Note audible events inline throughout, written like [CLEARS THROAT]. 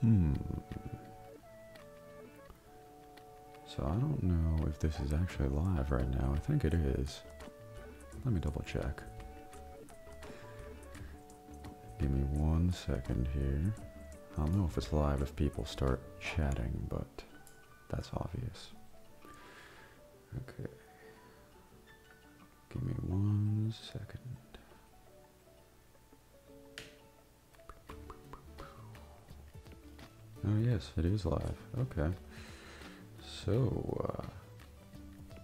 Hmm. So I don't know if this is actually live right now. I think it is. Let me double check. Give me one second here. I don't know if it's live if people start chatting, but that's obvious. Okay. Give me one second. Oh yes, it is live. Okay. So, uh,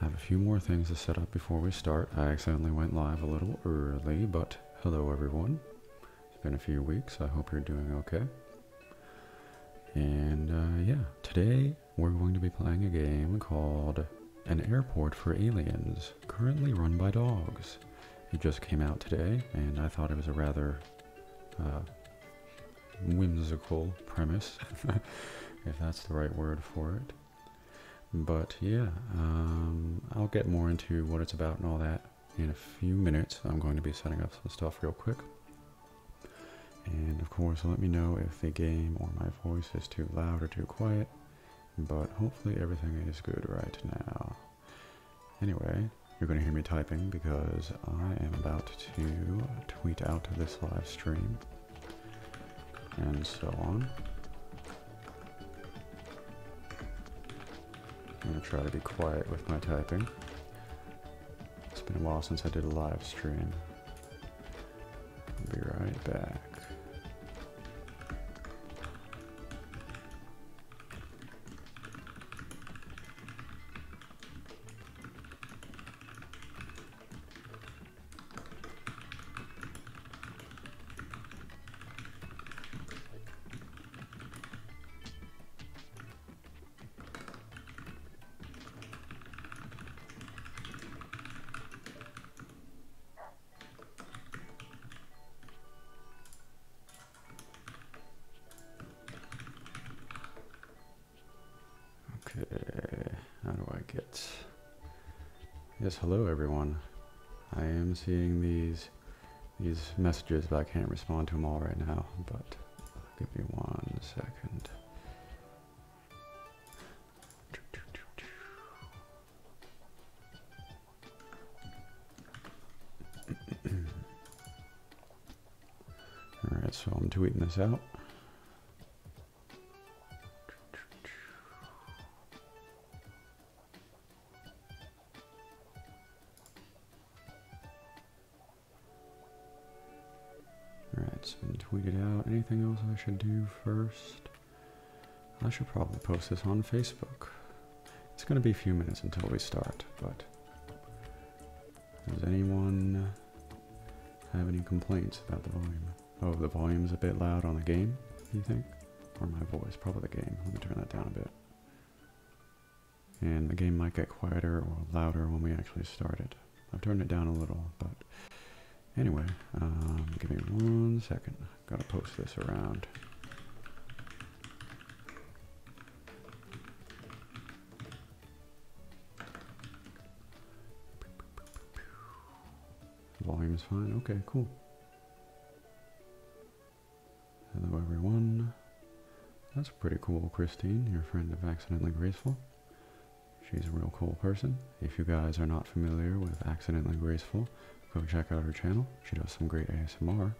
I have a few more things to set up before we start. I accidentally went live a little early, but hello everyone. It's been a few weeks. I hope you're doing okay. And uh, yeah, today we're going to be playing a game called An Airport for Aliens, currently run by dogs. It just came out today, and I thought it was a rather uh, whimsical premise, [LAUGHS] if that's the right word for it. But yeah, um, I'll get more into what it's about and all that in a few minutes. I'm going to be setting up some stuff real quick. And of course, let me know if the game or my voice is too loud or too quiet, but hopefully everything is good right now. Anyway, you're going to hear me typing because I am about to tweet out this live stream and so on. I'm going to try to be quiet with my typing. It's been a while since I did a live stream. be right back. Okay, how do I get... Yes, hello everyone. I am seeing these these messages, but I can't respond to them all right now, but give me one second. All right, so I'm tweeting this out. Alright, it's been tweeted out. Anything else I should do first? I should probably post this on Facebook. It's going to be a few minutes until we start, but does anyone have any complaints about the volume? Oh, the volume's a bit loud on the game, Do you think? Or my voice, probably the game. Let me turn that down a bit. And the game might get quieter or louder when we actually start it. I've turned it down a little, but anyway, um, give me one second. Gotta post this around. Volume's fine. Okay, cool. Hello, everyone. That's pretty cool, Christine, your friend of Accidentally Graceful. She's a real cool person. If you guys are not familiar with Accidentally Graceful, go check out her channel. She does some great ASMR.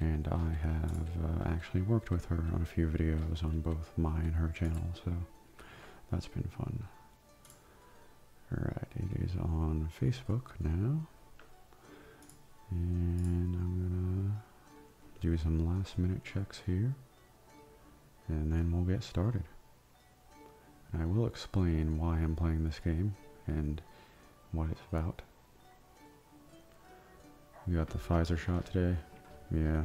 And I have uh, actually worked with her on a few videos on both my and her channel, so that's been fun. Alright, it is on Facebook now. And I'm gonna do some last minute checks here and then we'll get started. I will explain why I'm playing this game and what it's about. We got the Pfizer shot today. Yeah,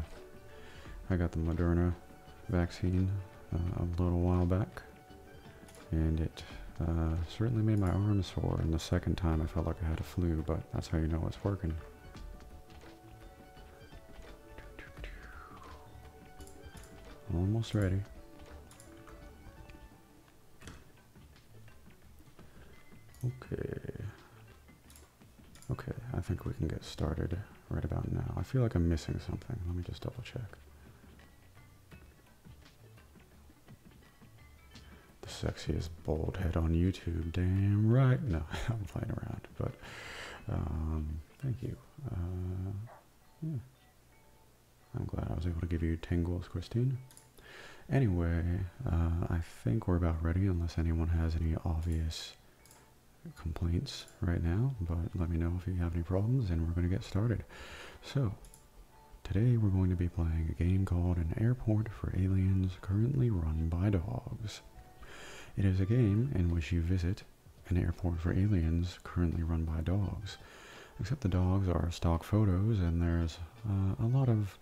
I got the Moderna vaccine uh, a little while back, and it uh, certainly made my arms sore. And the second time, I felt like I had a flu, but that's how you know it's working. Almost ready. Okay. Okay, I think we can get started right about now. I feel like I'm missing something. Let me just double check. The sexiest bald head on YouTube. Damn right. No, [LAUGHS] I'm playing around, but um, thank you. Uh, yeah. I'm glad I was able to give you 10 goals, Christine. Anyway, uh, I think we're about ready unless anyone has any obvious complaints right now, but let me know if you have any problems and we're going to get started. So, today we're going to be playing a game called An Airport for Aliens currently run by dogs. It is a game in which you visit an airport for aliens currently run by dogs. Except the dogs are stock photos, and there's uh, a lot of.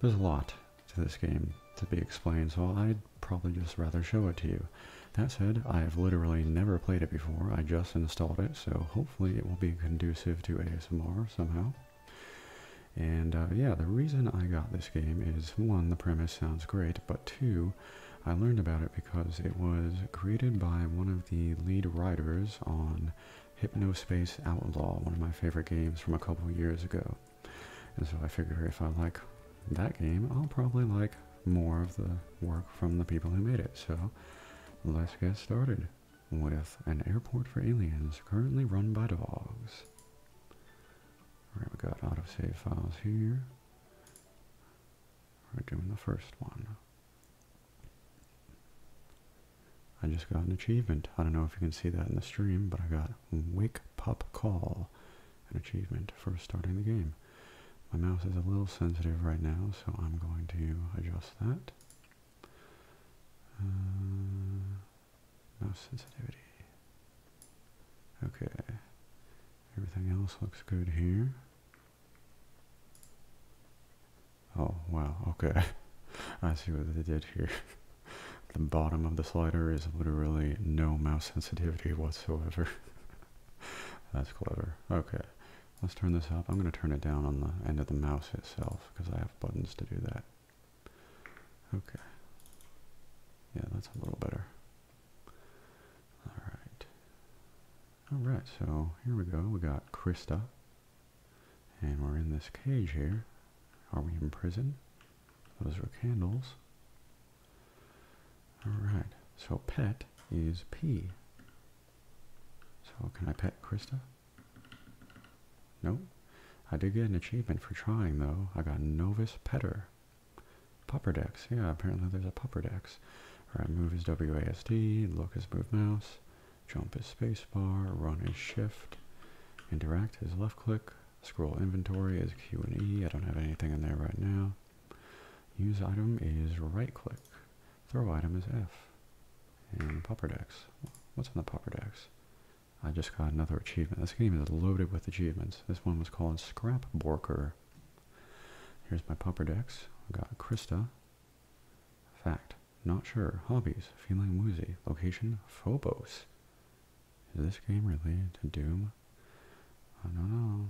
There's a lot to this game to be explained, so I'd probably just rather show it to you. That said, I have literally never played it before, I just installed it, so hopefully it will be conducive to ASMR somehow. And uh, yeah, the reason I got this game is one, the premise sounds great, but two, I learned about it because it was created by one of the lead writers on Hypno Space Outlaw, one of my favorite games from a couple years ago. And so I figured if I like that game, I'll probably like more of the work from the people who made it. So let's get started with an airport for aliens currently run by dogs. All right, we got autosave files here. We're doing the first one. I just got an achievement. I don't know if you can see that in the stream, but I got Wake Pop Call, an achievement for starting the game. My mouse is a little sensitive right now, so I'm going to adjust that. Uh, no sensitivity. Okay. Everything else looks good here. Oh, wow, okay. [LAUGHS] I see what they did here. [LAUGHS] the bottom of the slider is literally no mouse sensitivity whatsoever. [LAUGHS] That's clever. Okay, let's turn this up. I'm going to turn it down on the end of the mouse itself because I have buttons to do that. Okay. Yeah, that's a little better. Alright. Alright, so here we go. We got Krista. And we're in this cage here. Are we in prison? Those are candles. Alright. So pet is P. So can I pet Krista? Nope. I did get an achievement for trying though. I got Novus Petter. Popper Popperdex, yeah, apparently there's a popper Popperdex. Alright, move is WASD, look is move mouse, jump is bar. run is shift, interact is left click, scroll inventory is Q and E, I don't have anything in there right now. Use item is right click, throw item is F, and popper Popperdex. What's in the popper Popperdex? I just got another achievement. This game is loaded with achievements. This one was called Scrapborker. Here's my pupper decks. I've got Krista. Fact. Not sure. Hobbies. Feeling woozy. Location. Phobos. Is this game related to Doom? I don't know.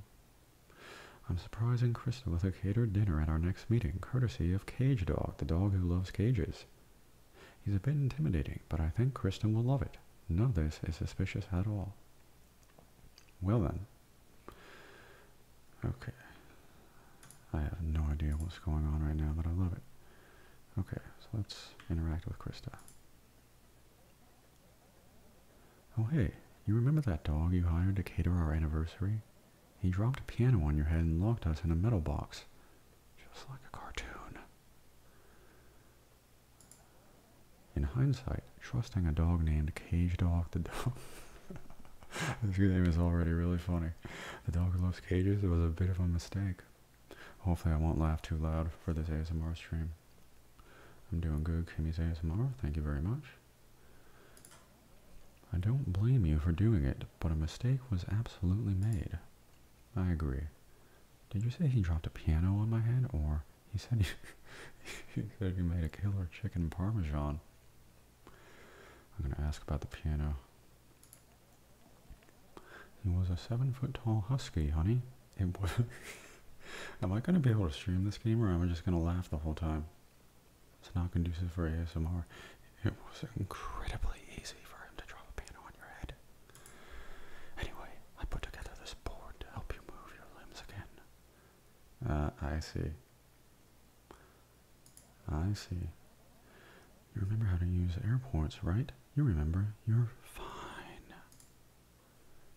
I'm surprising Krista with a catered dinner at our next meeting, courtesy of Cage Dog, the dog who loves cages. He's a bit intimidating, but I think Kristen will love it. None of this is suspicious at all. Well then. Okay. I have no idea what's going on right now, but I love it. Okay, so let's interact with Krista. Oh hey, you remember that dog you hired to cater our anniversary? He dropped a piano on your head and locked us in a metal box. Just like a cartoon. In hindsight, trusting a dog named Cage Dog, the dog. this [LAUGHS] game is already really funny. The dog loves cages It was a bit of a mistake. Hopefully, I won't laugh too loud for this ASMR stream. I'm doing good, Kimmy's ASMR. Thank you very much. I don't blame you for doing it, but a mistake was absolutely made. I agree. Did you say he dropped a piano on my head, or he said he, [LAUGHS] he said made a killer chicken parmesan? I'm gonna ask about the piano. He was a seven-foot-tall husky, honey. It was. [LAUGHS] am I gonna be able to stream this game, or am I just gonna laugh the whole time? It's not conducive for ASMR. It was incredibly easy for him to drop a piano on your head. Anyway, I put together this board to help you move your limbs again. Uh, I see. I see. You remember how to use airports, right? You remember. You're fine.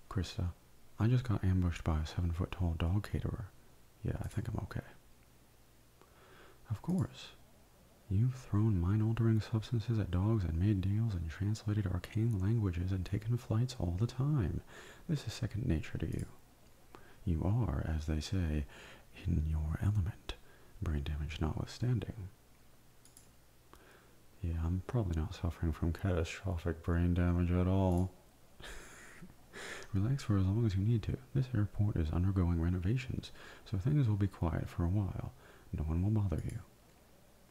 Krista, I just got ambushed by a seven foot tall dog caterer. Yeah, I think I'm okay. Of course. You've thrown mind altering substances at dogs and made deals and translated arcane languages and taken flights all the time. This is second nature to you. You are, as they say, in your element, brain damage notwithstanding. Yeah, I'm probably not suffering from catastrophic brain damage at all. [LAUGHS] Relax for as long as you need to. This airport is undergoing renovations, so things will be quiet for a while. No one will bother you.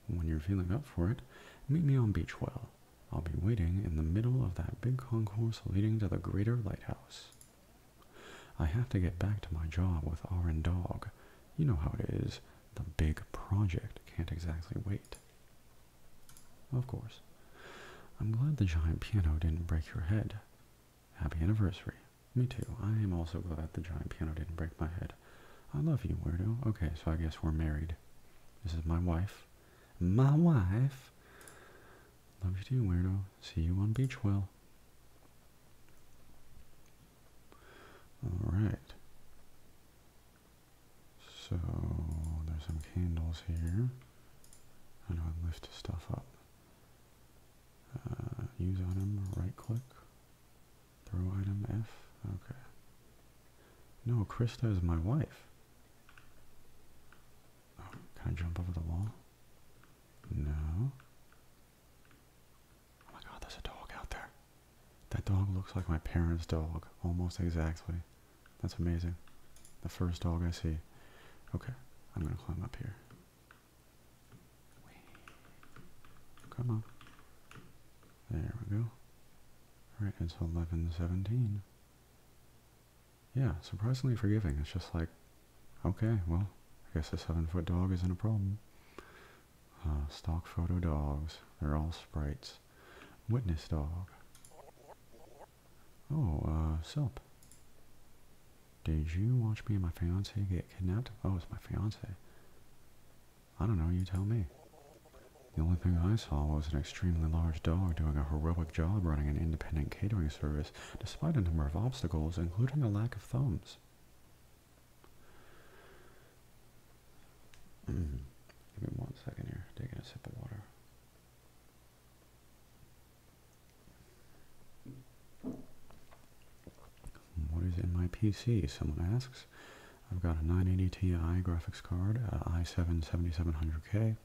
When you're feeling up for it, meet me on Beachwell. I'll be waiting in the middle of that big concourse leading to the Greater Lighthouse. I have to get back to my job with Aaron Dog. You know how it is. The big project can't exactly wait. Of course. I'm glad the giant piano didn't break your head. Happy anniversary. Me too. I am also glad the giant piano didn't break my head. I love you, weirdo. Okay, so I guess we're married. This is my wife. My wife. Love you too, weirdo. See you on Beachwell. Alright. So, there's some candles here. I know to lift stuff up. Uh, use on them. right click. Throw item F? Okay. No, Krista is my wife. Oh, can I jump over the wall? No. Oh my god, there's a dog out there. That dog looks like my parents' dog. Almost exactly. That's amazing. The first dog I see. Okay, I'm gonna climb up here. Come on. There we go. Alright, it's 1117. Yeah, surprisingly forgiving. It's just like, okay, well, I guess a seven foot dog isn't a problem. Uh, stock photo dogs. They're all sprites. Witness dog. Oh, uh, Silp. Did you watch me and my fiance get kidnapped? Oh, it's my fiance. I don't know, you tell me. The only thing I saw was an extremely large dog doing a heroic job running an independent catering service despite a number of obstacles, including a lack of thumbs. Hmm. Give me one second here, taking a sip of water. What is in my PC? Someone asks. I've got a 980 Ti graphics card, uh, i7 7700K,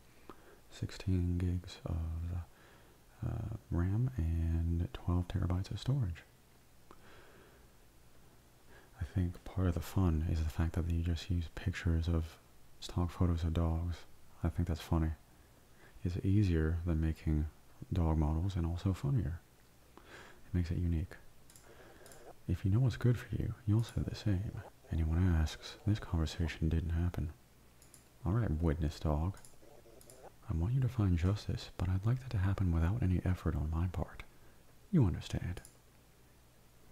16 gigs of uh, RAM, and 12 terabytes of storage. I think part of the fun is the fact that they just use pictures of stock photos of dogs. I think that's funny. It's easier than making dog models and also funnier. It makes it unique. If you know what's good for you, you'll say the same. Anyone asks, this conversation didn't happen. Alright, witness dog. I want you to find justice, but I'd like that to happen without any effort on my part. You understand.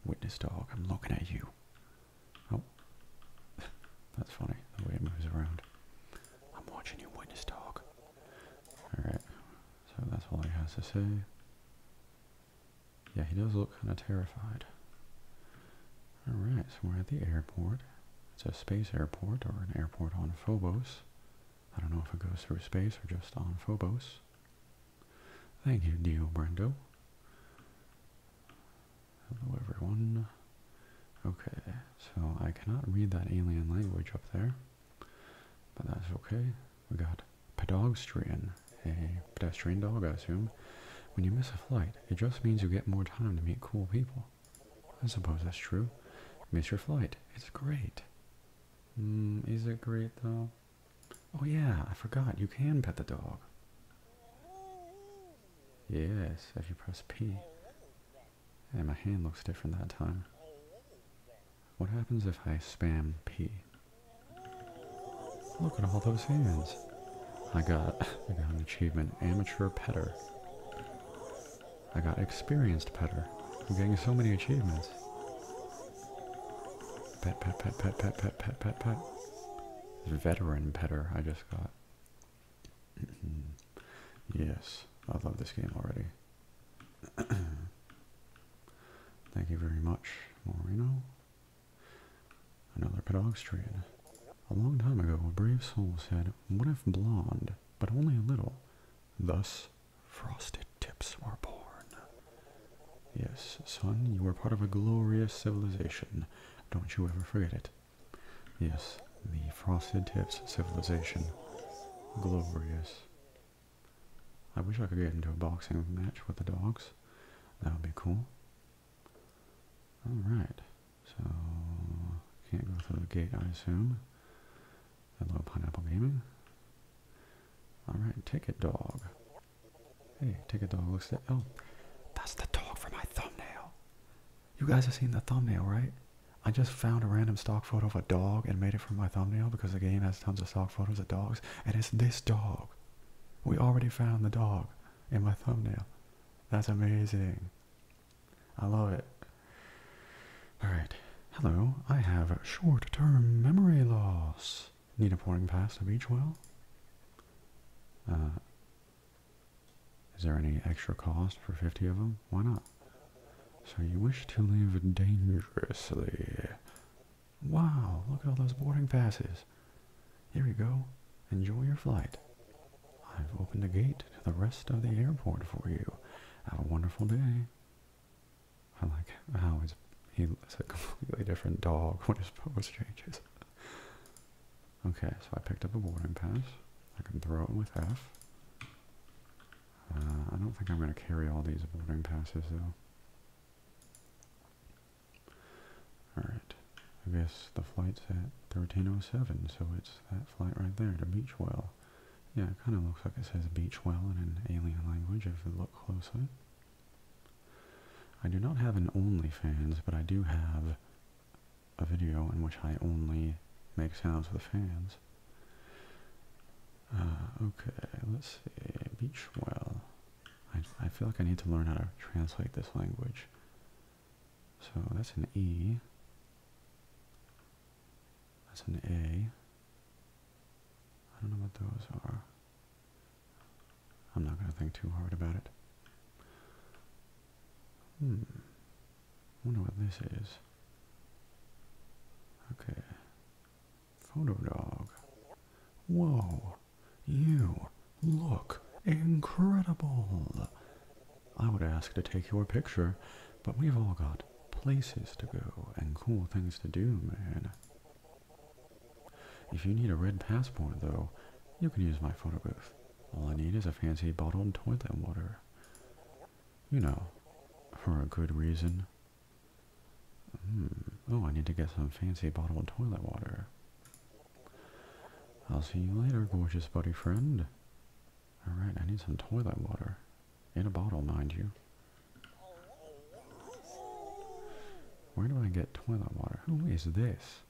Witness dog, I'm looking at you. Oh. [LAUGHS] That's funny, the way it moves around. I'm watching you, witness dog. Alright, so that's all he has to say. Yeah, he does look kind of terrified. Alright, so we're at the airport. It's a space airport or an airport on Phobos. I don't know if it goes through space or just on Phobos. Thank you, Dio Brendo. Hello, everyone. Okay, so I cannot read that alien language up there, but that's okay. We got pedestrian, a pedestrian dog, I assume. When you miss a flight, it just means you get more time to meet cool people. I suppose that's true. Miss your flight. It's great. Mm, is it great though? Oh yeah, I forgot. You can pet the dog. Yes, if you press P. And my hand looks different that time. What happens if I spam P? Look at all those hands. I got, [LAUGHS] I got an achievement, Amateur Petter. I got Experienced Petter. I'm getting so many achievements. Pet, pet, pet, pet, pet, pet, pet, pet, pet. Veteran Petter I just got. [CLEARS THROAT] yes, I love this game already. [COUGHS] Thank you very much, Moreno. Another pedestrian. A long time ago, a brave soul said, What if blonde, but only a little? Thus, frosted tips were born. Yes, son, you are part of a glorious civilization. Don't you ever forget it. Yes, the frosted tips civilization. Glorious. I wish I could get into a boxing match with the dogs. That would be cool. Alright. So, can't go through the gate, I assume. Hello, Pineapple Gaming. Alright, Ticket Dog. Hey, Ticket Dog looks at. Oh, that's the dog for my thumbnail. You guys have seen the thumbnail, right? I just found a random stock photo of a dog and made it for my thumbnail because the game has tons of stock photos of dogs, and it's this dog. We already found the dog in my thumbnail. That's amazing. I love it. Alright. Hello, I have short term memory loss. Need a pouring past a beach well? Uh, is there any extra cost for 50 of them? Why not? So you wish to live dangerously. Wow, look at all those boarding passes. Here you go. Enjoy your flight. I've opened the gate to the rest of the airport for you. Have a wonderful day. I like how it's, he looks a completely different dog when his pose changes. okay, so I picked up a boarding pass. I can throw it with F. Uh, I don't think I'm going to carry all these boarding passes though. Alright, I guess the flight's at 1307, so it's that flight right there to Beachwell. Yeah, it kind of looks like it says Beachwell in an alien language if you look closely. I do not have an OnlyFans, but I do have a video in which I only make sounds with fans. Uh, okay, let's see. Beach well. I, I feel like I need to learn how to translate this language. So that's an E. That's an A. I don't know what those are. I'm not going to think too hard about it. Hmm. wonder what this is. Okay. Photo dog. Whoa, you look incredible. I would ask to take your picture, but we've all got places to go and cool things to do, man. If you need a red passport, though, you can use my photo booth. All I need is a fancy bottled toilet water. You know, for a good reason. Oh, I need to get some fancy bottled toilet water. I'll see you later, gorgeous buddy friend. Alright, I need some toilet water. In a bottle, mind you. Where do I get toilet water? Who is this?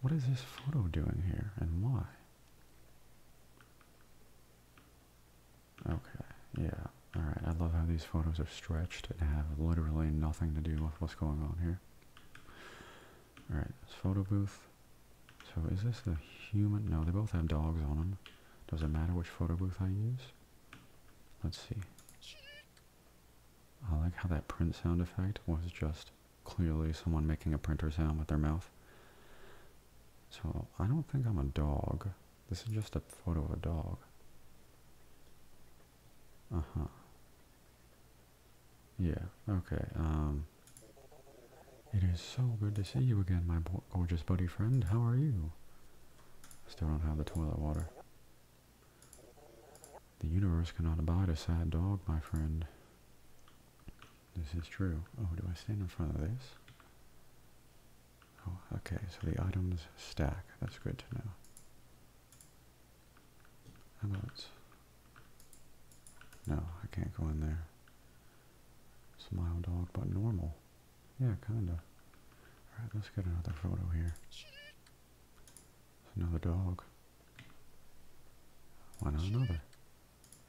What is this photo doing here, and why? Okay, yeah. Alright, I love how these photos are stretched and have literally nothing to do with what's going on here. Alright, this photo booth. So is this a human? No, they both have dogs on them. Does it matter which photo booth I use? Let's see. I like how that print sound effect was just clearly someone making a printer sound with their mouth. So I don't think I'm a dog. This is just a photo of a dog. Uh-huh. Yeah, okay. Um, it is so good to see you again, my gorgeous buddy friend. How are you? Still don't have the toilet water. The universe cannot abide a sad dog, my friend. This is true. Oh, do I stand in front of this? Oh, okay, so the items stack. That's good to know. How about... No, I can't go in there. Smile dog, but normal. Yeah, kinda. Alright, let's get another photo here. another dog. Why not another?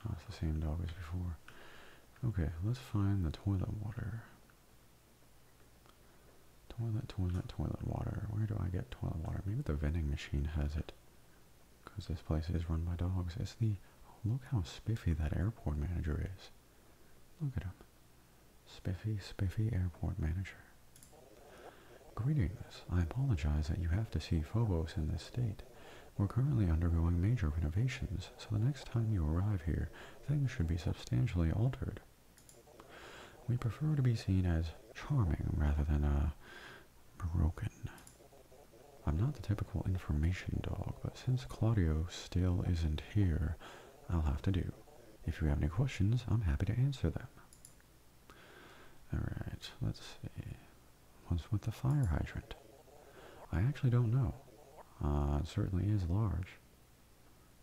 Oh, it's the same dog as before. Okay, let's find the toilet water. Toilet, toilet, toilet water. Where do I get toilet water? Maybe the vending machine has it. Because this place is run by dogs. It's the... look how spiffy that airport manager is. Look at him. Spiffy, spiffy airport manager. Greetings. I apologize that you have to see Phobos in this state. We're currently undergoing major renovations, so the next time you arrive here, things should be substantially altered. We prefer to be seen as charming rather than uh, broken. I'm not the typical information dog, but since Claudio still isn't here, I'll have to do. If you have any questions, I'm happy to answer them. Alright, let's see. What's with the fire hydrant? I actually don't know. Uh, it certainly is large.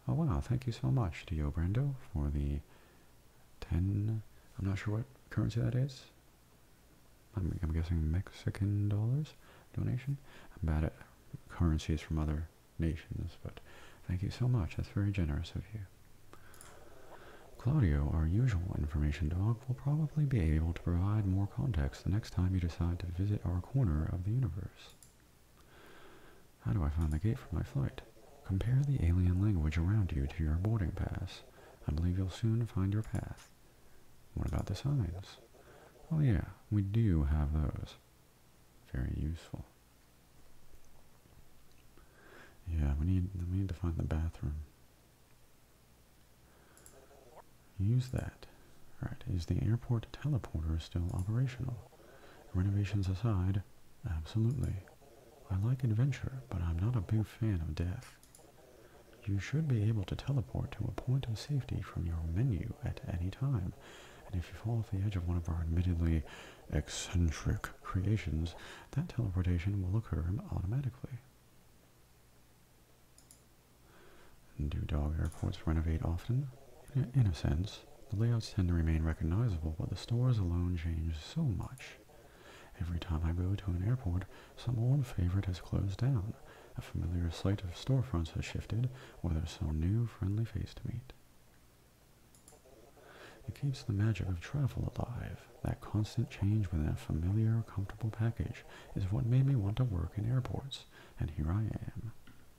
Oh wow, thank you so much to Yo Brando for the 10, I'm not sure what currency thats I'm, I'm guessing Mexican dollars donation. I'm bad at currencies from other nations, but thank you so much. That's very generous of you. Claudio, our usual information dog, will probably be able to provide more context the next time you decide to visit our corner of the universe. How do I find the gate for my flight? Compare the alien language around you to your boarding pass. I believe you'll soon find your path. What about the signs? Oh yeah, we do have those. Very useful. Yeah, we need we need to find the bathroom use that. All right, is the airport teleporter still operational? Renovations aside, absolutely. I like adventure, but I'm not a big fan of death. You should be able to teleport to a point of safety from your menu at any time, and if you fall off the edge of one of our admittedly eccentric creations, that teleportation will occur automatically. Do dog airports renovate often? In a sense, the layouts tend to remain recognizable, but the stores alone change so much. Every time I go to an airport, some old favorite has closed down, a familiar sight of storefronts has shifted, or there's some new friendly face to meet. It keeps the magic of travel alive. That constant change within a familiar, comfortable package is what made me want to work in airports, and here I am.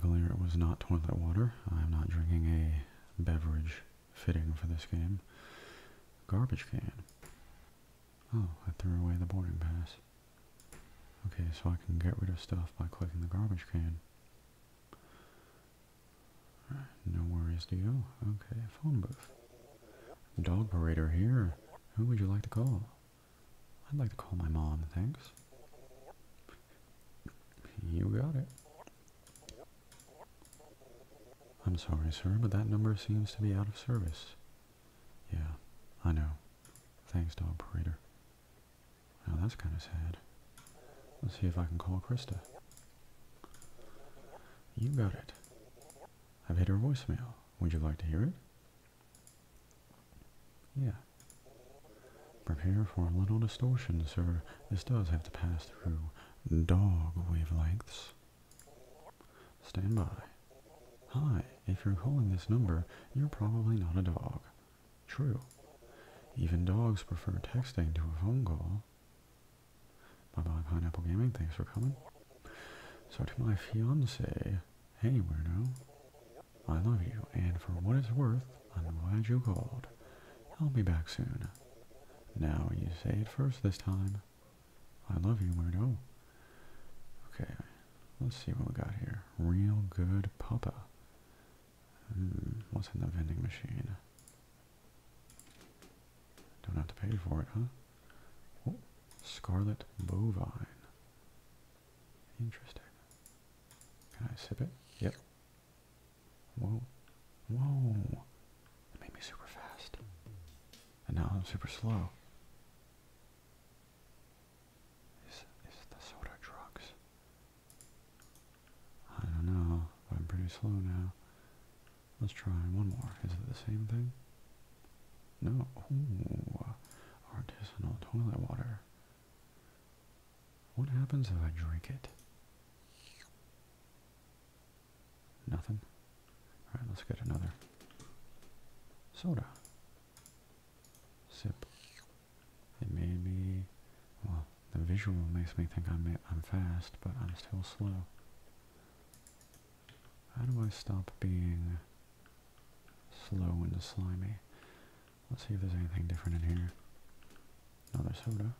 Clear hmm. it was not toilet water. I'm not drinking a beverage fitting for this game. Garbage can. Oh, I threw away the boarding pass. Okay, so I can get rid of stuff by clicking the garbage can. No worries, is to go. Okay, phone booth. Dog parader here. Who would you like to call? I'd like to call my mom, thanks. You got it. I'm sorry, sir, but that number seems to be out of service. Yeah, I know. Thanks, dog operator. Now that's kind of sad. Let's see if I can call Krista. You got it. I've hit her voicemail. Would you like to hear it? Yeah. Prepare for a little distortion, sir. This does have to pass through dog wavelengths. Stand by. Hi, if you're calling this number, you're probably not a dog. True. Even dogs prefer texting to a phone call. Bye bye, Pineapple Gaming. Thanks for coming. So to my fiance, hey weirdo, I love you, and for what it's worth, I'm glad you called. I'll be back soon. Now you say it first this time. I love you, weirdo. Okay, let's see what we got here. Real good papa. Mm, what's in the vending machine? Don't have to pay for it, huh? Oh, scarlet bovine. Interesting. Can I sip it? Yep. Whoa. Whoa. It made me super fast. And now I'm super slow. Is, is the soda drugs? I don't know, but I'm pretty slow now. Let's try one more. Is it the same thing? No. Artisanal toilet water. What happens if I drink it? Nothing. Alright, let's get another soda. Sip. It made me. Well, the visual makes me think I'm, I'm fast, but I'm still slow. How do I stop being slow and slimy? Let's see if there's anything different in here. Another soda.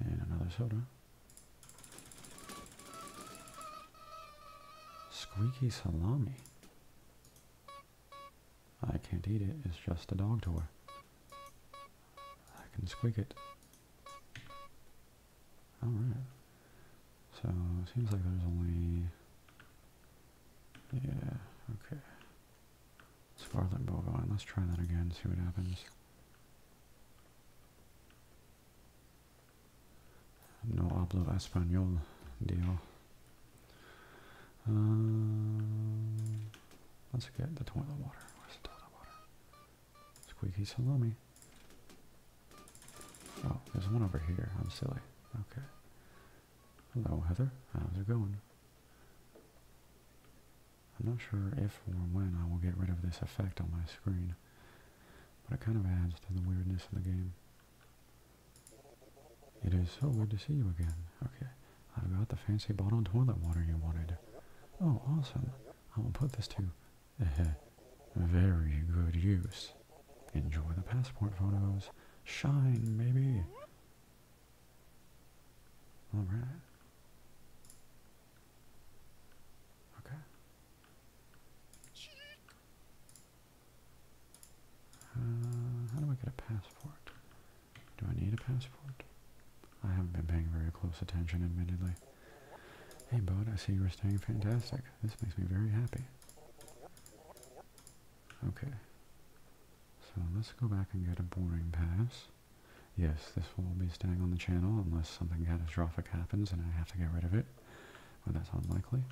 And another soda. Squeaky salami. I can't eat it, it's just a dog toy. I can squeak it. Alright. So, it seems like there's only... Yeah, okay. Scarlet Bovine. Let's try that again, see what happens. No hablo español, deal. Um, let's get the toilet water. Where's the toilet water? Squeaky salami. Oh, there's one over here. I'm silly. Okay. Hello, Heather. How's it going? I'm not sure if or when I will get rid of this effect on my screen, but it kind of adds to the weirdness of the game. It is so good to see you again. Okay, I've got the fancy bottled toilet water you wanted. Oh, awesome. I will put this to uh-huh. very good use. Enjoy the passport photos. Shine, maybe. All right. Okay. Uh, how do I get a passport? Do I need a passport? I haven't been paying very close attention, admittedly. Hey, Bud, I see you're staying fantastic. This makes me very happy. Okay. So let's go back and get a boring pass. Yes, this will be staying on the channel unless something catastrophic happens and I have to get rid of it. But that's unlikely.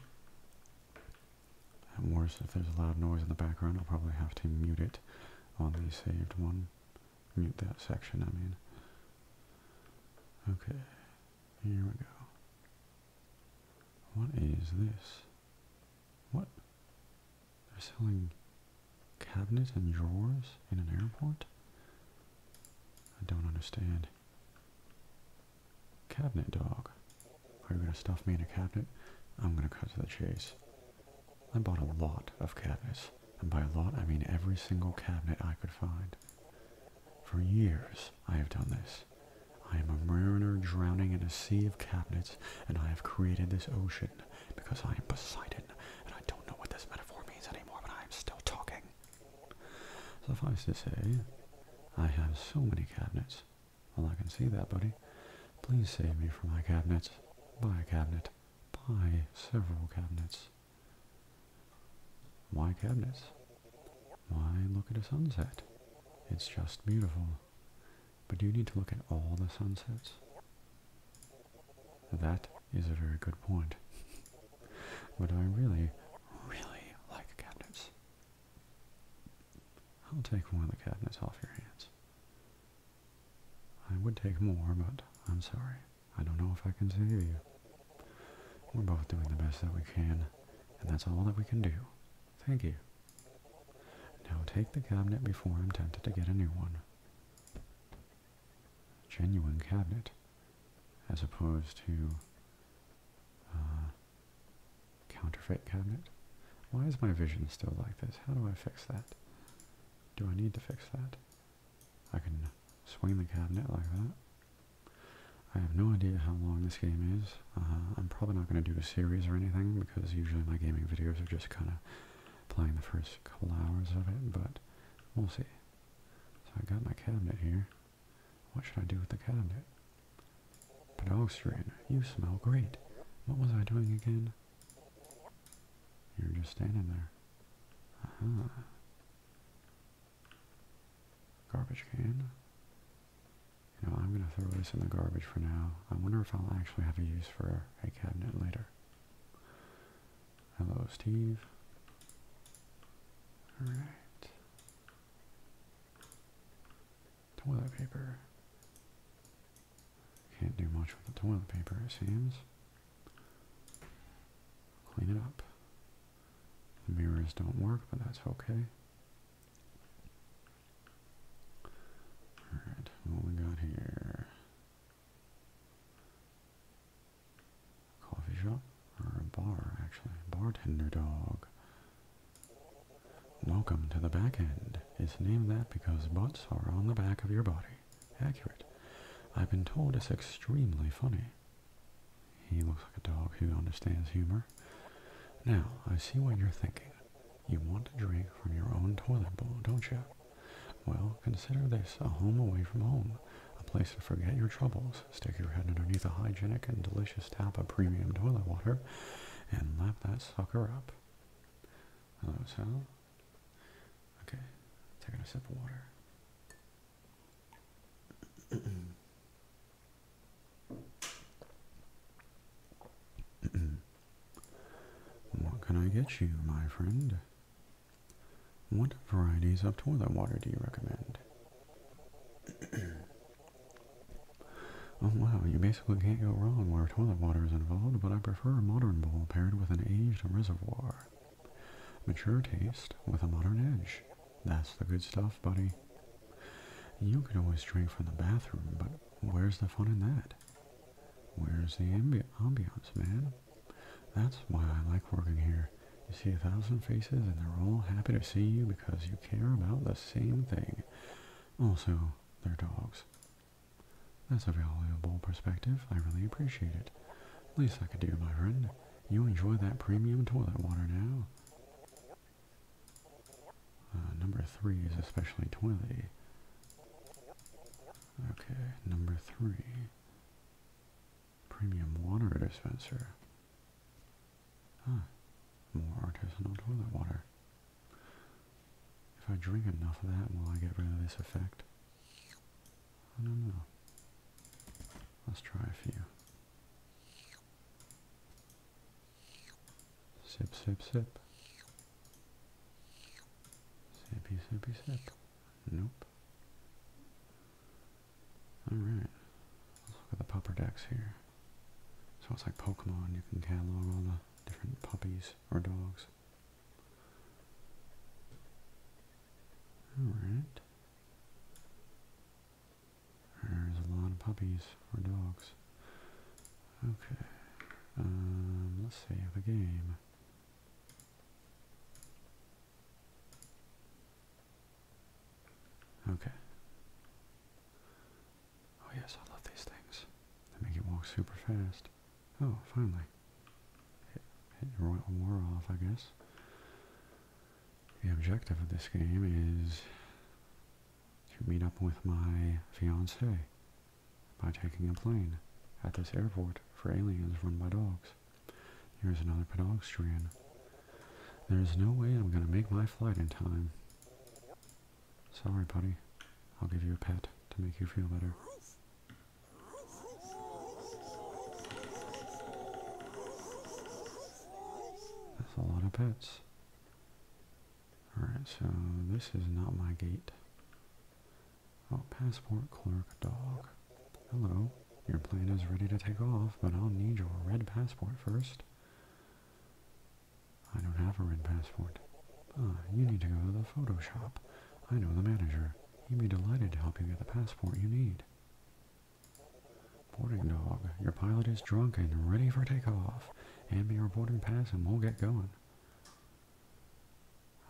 At worst, if there's a loud noise in the background, I'll probably have to mute it on the saved one mute that section, I mean. Okay, here we go. What is this? What? They're selling cabinets and drawers in an airport? I don't understand. Cabinet dog. Are you gonna stuff me in a cabinet? I'm gonna cut to the chase. I bought a lot of cabinets. And by a lot, I mean every single cabinet I could find. For years I have done this. I am a mariner drowning in a sea of cabinets, and I have created this ocean because I am Poseidon, and I don't know what this metaphor means anymore, but I am still talking. Suffice to say, I have so many cabinets. Well, I can see that, buddy. Please save me from my cabinets. Buy a cabinet. Buy several cabinets. Why cabinets. Why, look at a sunset. It's just beautiful. But do you need to look at all the sunsets. That is a very good point. [LAUGHS] but I really, really like cabinets. I'll take one of the cabinets off your hands. I would take more, but I'm sorry. I don't know if I can save you. We're both doing the best that we can, and that's all that we can do. Thank you. Now take the cabinet before I'm tempted to get a new one. Genuine cabinet, as opposed to uh, counterfeit cabinet. Why is my vision still like this? How do I fix that? Do I need to fix that? I can swing the cabinet like that. I have no idea how long this game is. Uh, I'm probably not going to do a series or anything because usually my gaming videos are just kind of playing the first couple hours of it, but we'll see. So I got my cabinet here. What should I do with the cabinet? Pedestrian, you smell great. What was I doing again? You're just standing there. -huh. Garbage can. You know, I'm going to throw this in the garbage for now. I wonder if I'll actually have a use for a cabinet later. Hello, Steve. Alright. Toilet paper. Can't do much with the toilet paper, it seems. Clean it up. The mirrors don't work, but that's okay. Alright, what we got here? Coffee shop? Or a bar, actually. Bartender dog. Welcome to the back end. It's named that because butts are on the back of your body. Accurate. I've been told it's extremely funny. He looks like a dog who understands humor. Now, I see what you're thinking. You want to drink from your own toilet bowl, don't you? Well, consider this a home away from home, a place to forget your troubles, stick your head underneath a hygienic and delicious tap of premium toilet water, and lap that sucker up. Hello, Sal. Okay, taking a sip of water what can I get you, my friend? What varieties of toilet water do you recommend? [CLEARS THROAT] oh wow, you basically can't go wrong where toilet water is involved, but I prefer a modern bowl paired with an aged reservoir. Mature taste with a modern edge. That's the good stuff, buddy. You could always drink from the bathroom, but where's the fun in that? Where's the ambi ambiance, man? That's why I like working here. You see a thousand faces and they're all happy to see you because you care about the same thing. Also, they're dogs. That's a valuable perspective. I really appreciate it. Least I could do, my friend. You enjoy that premium toilet water now. Uh, number three is especially toily. Okay, number three. Premium water dispenser. Huh. More artisanal toilet water. If I drink enough of that, will I get rid of this effect? I don't know. Let's try a few. Sip, sip, sip. Sippy, sippy, sip. Nope. Alright. Let's look at the pupper decks here. So it's like Pokemon, you can catalog all the different puppies or dogs. Alright. There's a lot of puppies or dogs. Okay. Um, let's save the game. Okay. Oh yes, I love these things. They make you walk super fast. Oh, finally. It went Royal off, I guess. The objective of this game is to meet up with my fiancée by taking a plane at this airport for aliens run by dogs. Here's another pedestrian. There's no way I'm gonna make my flight in time. Sorry, buddy. I'll give you a pet to make you feel better. That's a lot of pets. Alright, so this is not my gate. Oh, passport clerk dog. Hello. Your plane is ready to take off, but I'll need your red passport first. I don't have a red passport. Ah, you need to go to the photo shop. I know the manager. He'd be delighted to help you get the passport you need. Boarding dog, your pilot is drunk and ready for takeoff. Hand me your boarding pass and we'll get going.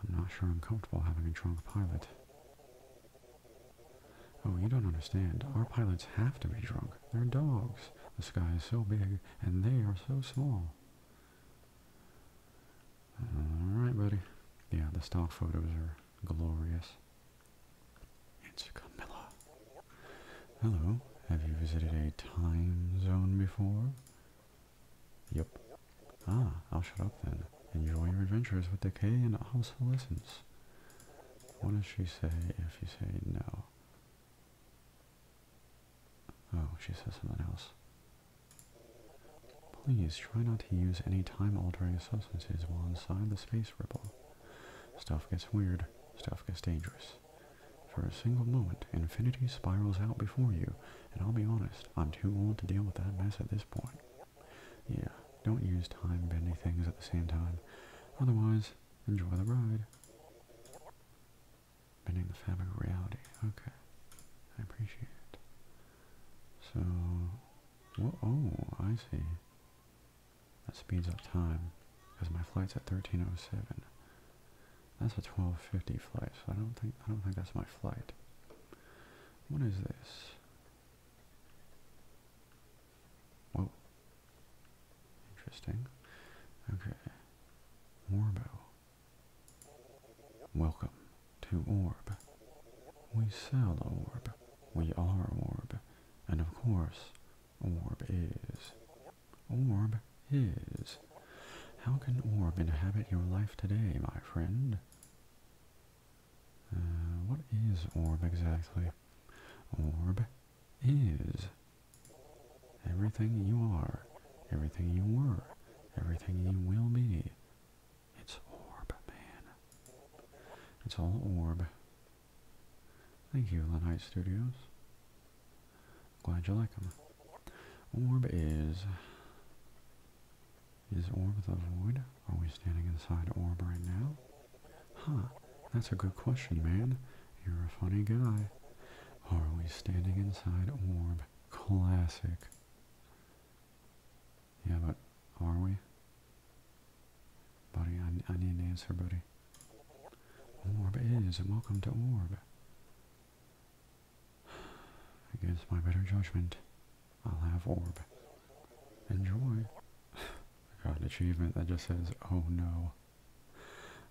I'm not sure I'm comfortable having a drunk pilot. Oh, you don't understand. Our pilots have to be drunk. They're dogs. The sky is so big and they are so small. Alright, buddy. Yeah, the stock photos are glorious. It's Camilla. Hello, have you visited a time zone before? Yep. Ah, I'll shut up then. Enjoy your adventures with decay and obsolescence. What does she say if you say no? Oh, she says something else. Please try not to use any time-altering substances while inside the space ripple. Stuff gets weird. Stuff gets dangerous. For a single moment, infinity spirals out before you, and I'll be honest, I'm too old to deal with that mess at this point. Yeah, don't use time bending things at the same time. Otherwise, enjoy the ride. Bending the fabric of reality. Okay. I appreciate it. So... oh, I see. That speeds up time because my flight's at 13:07. That's a 12:50 flight, so I don't think I don't think that's my flight. What is this? Whoa. Interesting. Okay. Orbo. Welcome to Orb. We sell Orb. We are orb. And of course, orb is. Orb is. How can orb inhabit your life today, my friend? Uh, what is orb exactly? Orb is. Everything you are, everything you were, everything you will be, it's orb, man. It's all orb. Thank you, Lenite Studios. Glad you like them. Orb is... Is orb the void? Are we standing inside orb right now? Huh, that's a good question, man. You're a funny guy. Are we standing inside orb? Classic. Yeah, but are we? Buddy, I, I need an answer, buddy. Orb is, welcome to Orb. Against my better judgment, I'll have Orb. Enjoy. I [SIGHS] got an achievement that just says, oh no.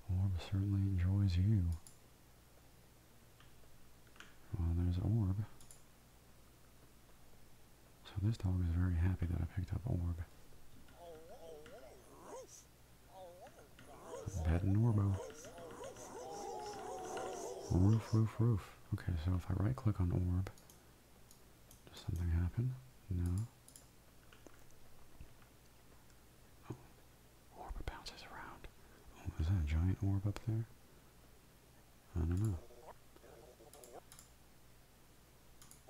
Orb certainly enjoys you. Well, there's Orb. So this dog is very happy that I picked up Orb. Pet an Roof, roof, roof. Okay, so if I right click on Orb, does something happen? No. Oh, orb bounces around. Oh, is that a giant orb up there? I don't know.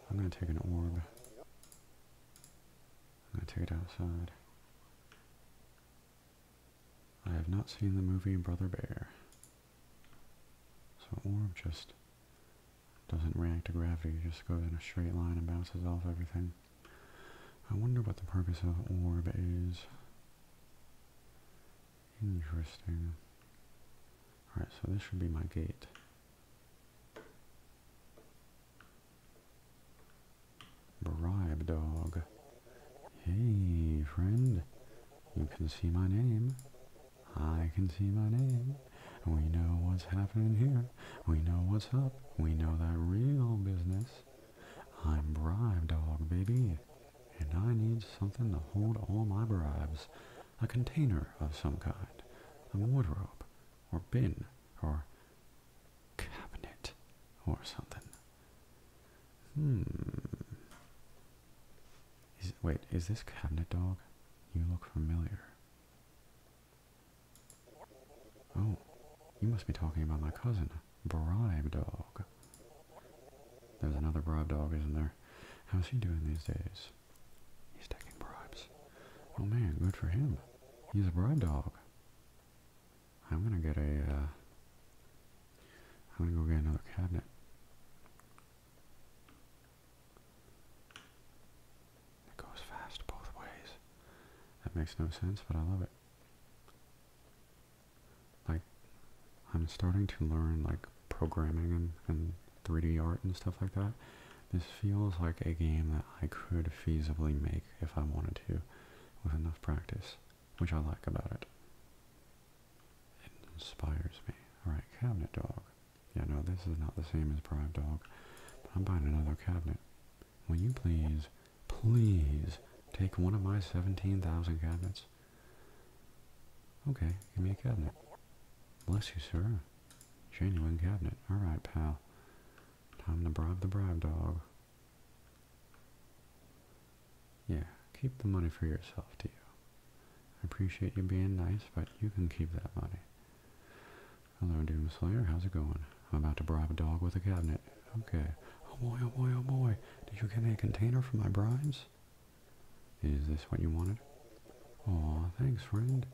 I'm gonna take an orb. I'm gonna take it outside. I have not seen the movie Brother Bear. So orb just doesn't react to gravity, it just goes in a straight line and bounces off everything. I wonder what the purpose of orb is. Interesting. Alright, so this should be my gate. Bribe dog. Hey, friend. You can see my name. I can see my name. We know what's happening here. We know what's up. We know that real business. I'm bribe dog, baby. And I need something to hold all my bribes a container of some kind, a wardrobe, or bin, or cabinet, or something. Hmm. wait, is this cabinet dog? You look familiar. Oh, you must be talking about my cousin, Bribe Dog. There's another Bribe Dog, isn't there? How's he doing these days? He's taking bribes. Oh man, good for him. He's a bribe dog. I'm gonna get ai uh, am gonna go get another cabinet. It goes fast both ways. That makes no sense, but I love it. Like, I'm starting to learn, like, programming and, and 3D art and stuff like that. This feels like a game that I could feasibly make if I wanted to with enough practice, which I like about it. It inspires me. Alright, cabinet dog. Yeah, no, this is not the same as bribe dog, but I'm buying another cabinet. Will you please, please take one of my 17,000 cabinets? Okay, Give me a cabinet. Bless you, sir. Genuine cabinet. Alright, pal. Time to bribe the bribe dog. Yeah, keep the money for yourself, Tio. I appreciate you being nice, but you can keep that money. Hello, Doomslayer. How's it going? I'm about to bribe a dog with a cabinet. Okay. Oh boy, oh boy, oh boy. Did you get me a container for my bribes? Is this what you wanted? Oh, thanks, friend.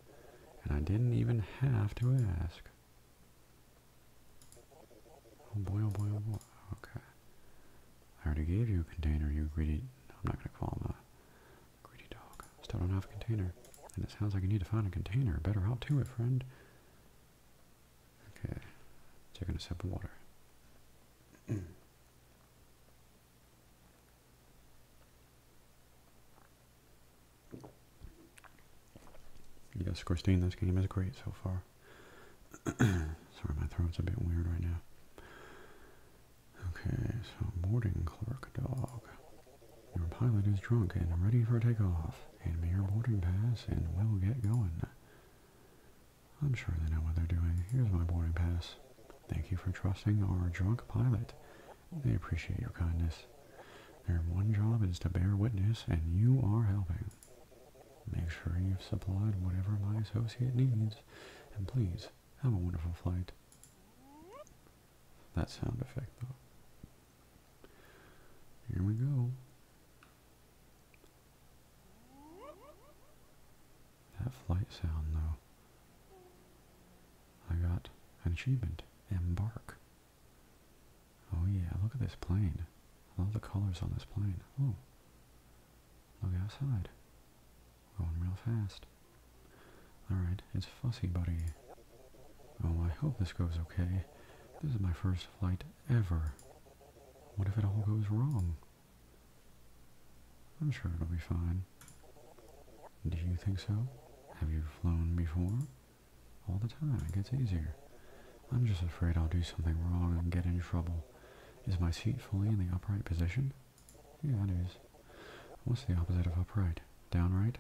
And I didn't even have to ask. Oh boy, oh boy, oh boy. Okay. I already gave you a container, you greedy... I'm not going to call him a greedy dog. Still don't have a container. And it sounds like you need to find a container. Better help to it, friend. Okay. Taking a sip of water. [CLEARS THROAT] Yes, Christine, this game is great so far. [CLEARS THROAT] Sorry, my throat's a bit weird right now. Okay, so boarding clerk dog. Your pilot is drunk and ready for takeoff. Hand me your boarding pass and we'll get going. I'm sure they know what they're doing. Here's my boarding pass. Thank you for trusting our drunk pilot. They appreciate your kindness. Their one job is to bear witness, and you are helping. Make sure you've supplied whatever my associate needs, and please, have a wonderful flight. That sound effect, though. Here we go. That flight sound though. I got an achievement. Embark. Oh yeah, look at this plane. I love the colors on this plane. Oh. Look outside. Going real fast. Alright, it's Fussy Buddy. Oh, I hope this goes okay. This is my first flight ever. What if it all goes wrong? I'm sure it'll be fine. Do you think so? Have you flown before? All the time, it gets easier. I'm just afraid I'll do something wrong and get in trouble. Is my seat fully in the upright position? Yeah, it is. What's the opposite of upright? Downright?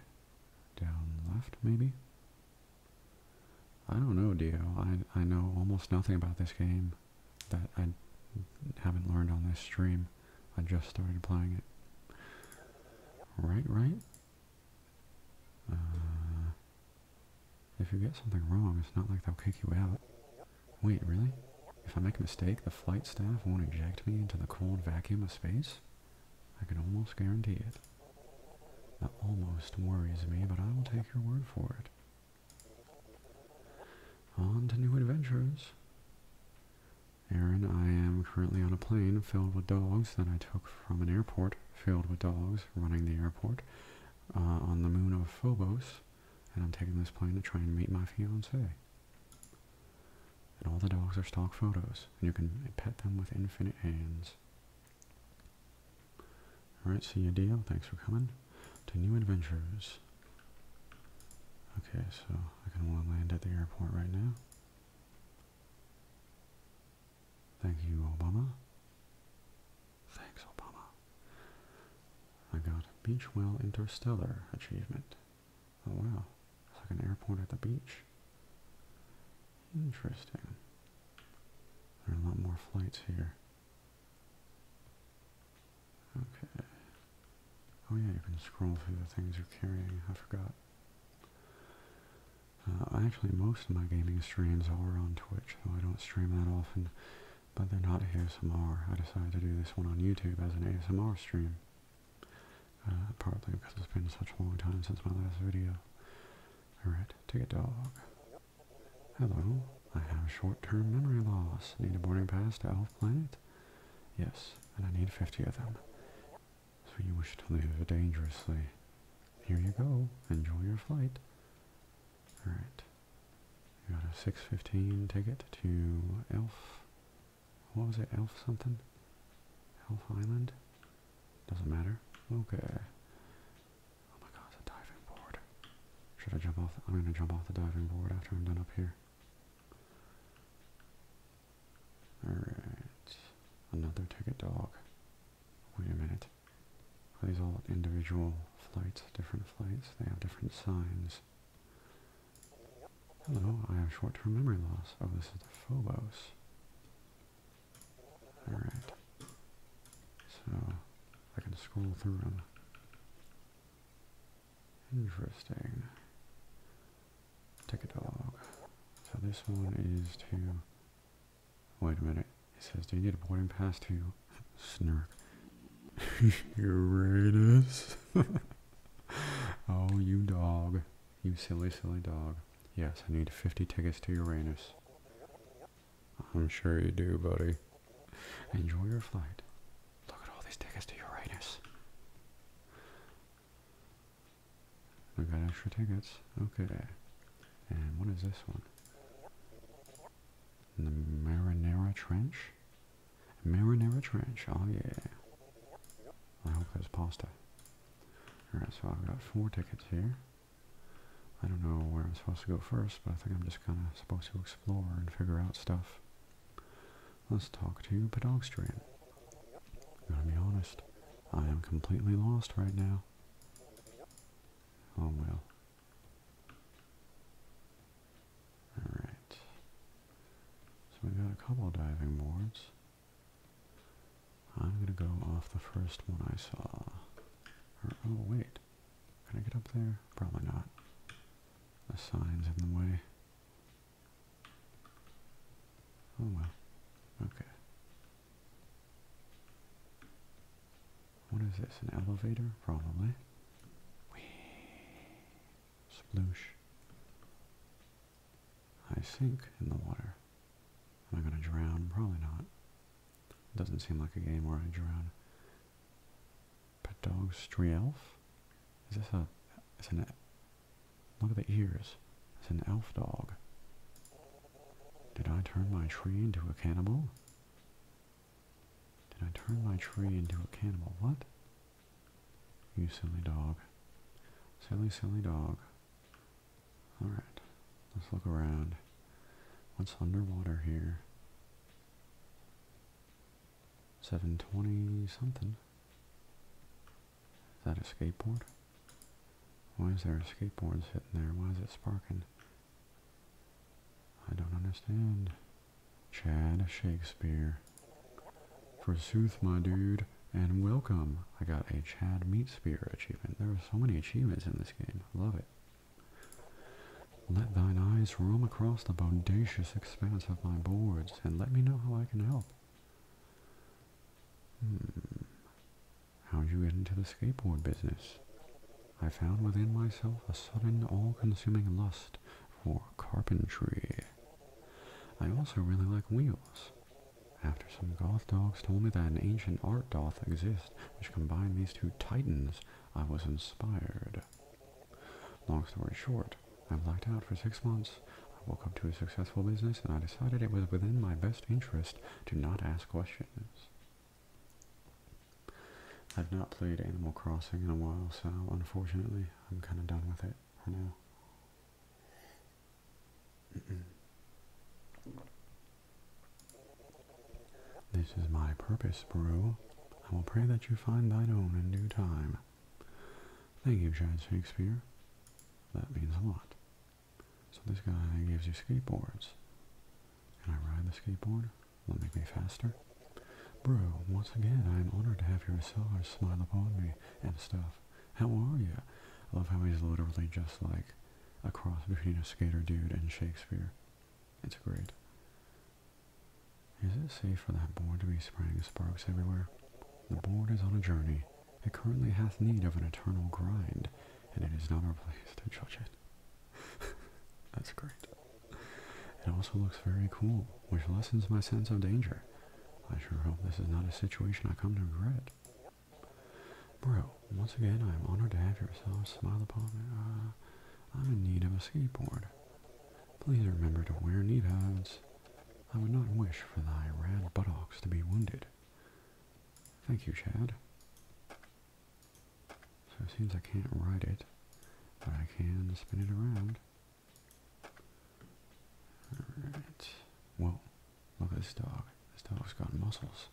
Down left, maybe? I don't know, Dio. I, I know almost nothing about this game that I haven't learned on this stream. I just started applying it. Right, right? Uh, if you get something wrong, it's not like they'll kick you out. Wait, really? If I make a mistake, the flight staff won't eject me into the cold vacuum of space? I can almost guarantee it. That almost worries me, but I will take your word for it. On to new adventures. Aaron, I am currently on a plane filled with dogs that I took from an airport filled with dogs running the airport uh, on the moon of Phobos, and I'm taking this plane to try and meet my fiance. And all the dogs are stock photos, and you can pet them with infinite hands. Alright, see you, deal. Thanks for coming to New Adventures. Okay, so I can one land at the airport right now. Thank you, Obama. Thanks, Obama. I got Beachwell Interstellar achievement. Oh wow, it's like an airport at the beach. Interesting. There are a lot more flights here. Okay. Oh yeah, you can scroll through the things you're carrying. I forgot. Uh, actually, most of my gaming streams are on Twitch, though I don't stream that often. But they're not ASMR. I decided to do this one on YouTube as an ASMR stream. Uh, partly because it's been such a long time since my last video. Alright, take a dog. Hello, I have short-term memory loss. Need a boarding pass to Elf Planet? Yes, and I need 50 of them. So you wish to live dangerously. Here you go. Enjoy your flight. Alright. You got a 615 ticket to Elf. What was it? Elf something? Elf Island? Doesn't matter. Okay. Oh my god, it's a diving board. Should I jump off? I'm gonna jump off the diving board after I'm done up here. Alright. Another ticket dog. Wait a minute. Are these all individual flights? Different flights? They have different signs. Hello, I have short-term memory loss. Oh, this is the Phobos. Alright. So, I can scroll through them. Interesting. Ticket log. So this one is to, wait a minute, He says, do you need a boarding pass to snark? Uranus? [LAUGHS] [LAUGHS] oh, you dog. You silly, silly dog. Yes, I need 50 tickets to Uranus. I'm sure you do, buddy. Enjoy your flight. Look at all these tickets to Uranus. We got extra tickets. Okay. And what is this one? The Marinara Trench? Marinara Trench, oh yeah. I hope there's pasta. Alright, so I've got four tickets here. I don't know where I'm supposed to go first, but I think I'm just kind of supposed to explore and figure out stuff. Let's talk to Pedogstrian. I'm gonna be honest, I am completely lost right now. Oh well. Alright. So we got a couple diving boards. I'm gonna go off the first one I saw. oh wait. Can I get up there? Probably not. The sign's in the way. Oh well. Okay. What is this? An elevator? Probably. Splush. I sink in the water. Am I going to drown? Probably not. Doesn't seem like a game where I drown. Pet dog Strielf? Is this a, is an Look at the ears. It's an elf dog. Did I turn my tree into a cannibal? Did I turn my tree into a cannibal? What? You silly dog. Silly, silly dog. Alright. Let's look around. What's underwater here? 720 something. Is that a skateboard? Why is there a skateboard sitting there? Why is it sparking? I don't understand. Chad Shakespeare. Forsooth, my dude, and welcome. I got a Chad Meat Spear achievement. There are so many achievements in this game. I Love it. Let thine eyes roam across the bodacious expanse of my boards, and let me know how I can help. Hmm. How'd you get into the skateboard business? I found within myself a sudden, all-consuming lust for carpentry. I also really like wheels. After some goth dogs told me that an ancient art doth exist which combines these two titans, I was inspired. Long story short, I blacked out for six months. I woke up to a successful business and I decided it was within my best interest to not ask questions. I've not played Animal Crossing in a while, so unfortunately, I'm kind of done with it for now. This is my purpose, Brew. I will pray that you find thine own in due time. Thank you, Giant Shakespeare. That means a lot. So this guy gives you skateboards. Can I ride the skateboard? Will it make me faster? Bro, once again, I am honored to have your sellers smile upon me and stuff. How are you? I love how he's literally just like a cross between a skater dude and Shakespeare. It's great. Is it safe for that board to be spraying sparks everywhere? The board is on a journey. It currently hath need of an eternal grind, and it is not our place to judge it. [LAUGHS] That's great. It also looks very cool, which lessens my sense of danger. I sure hope this is not a situation I come to regret. Bro, once again, I am honored to have yourself smile upon me. Uh, I'm in need of a skateboard. Please remember to wear knee pads. I would not wish for thy rad buttocks to be wounded. Thank you, Chad. So it seems I can't ride it, but I can spin it around. Alright. Whoa, look at this dog. This dog's got muscles.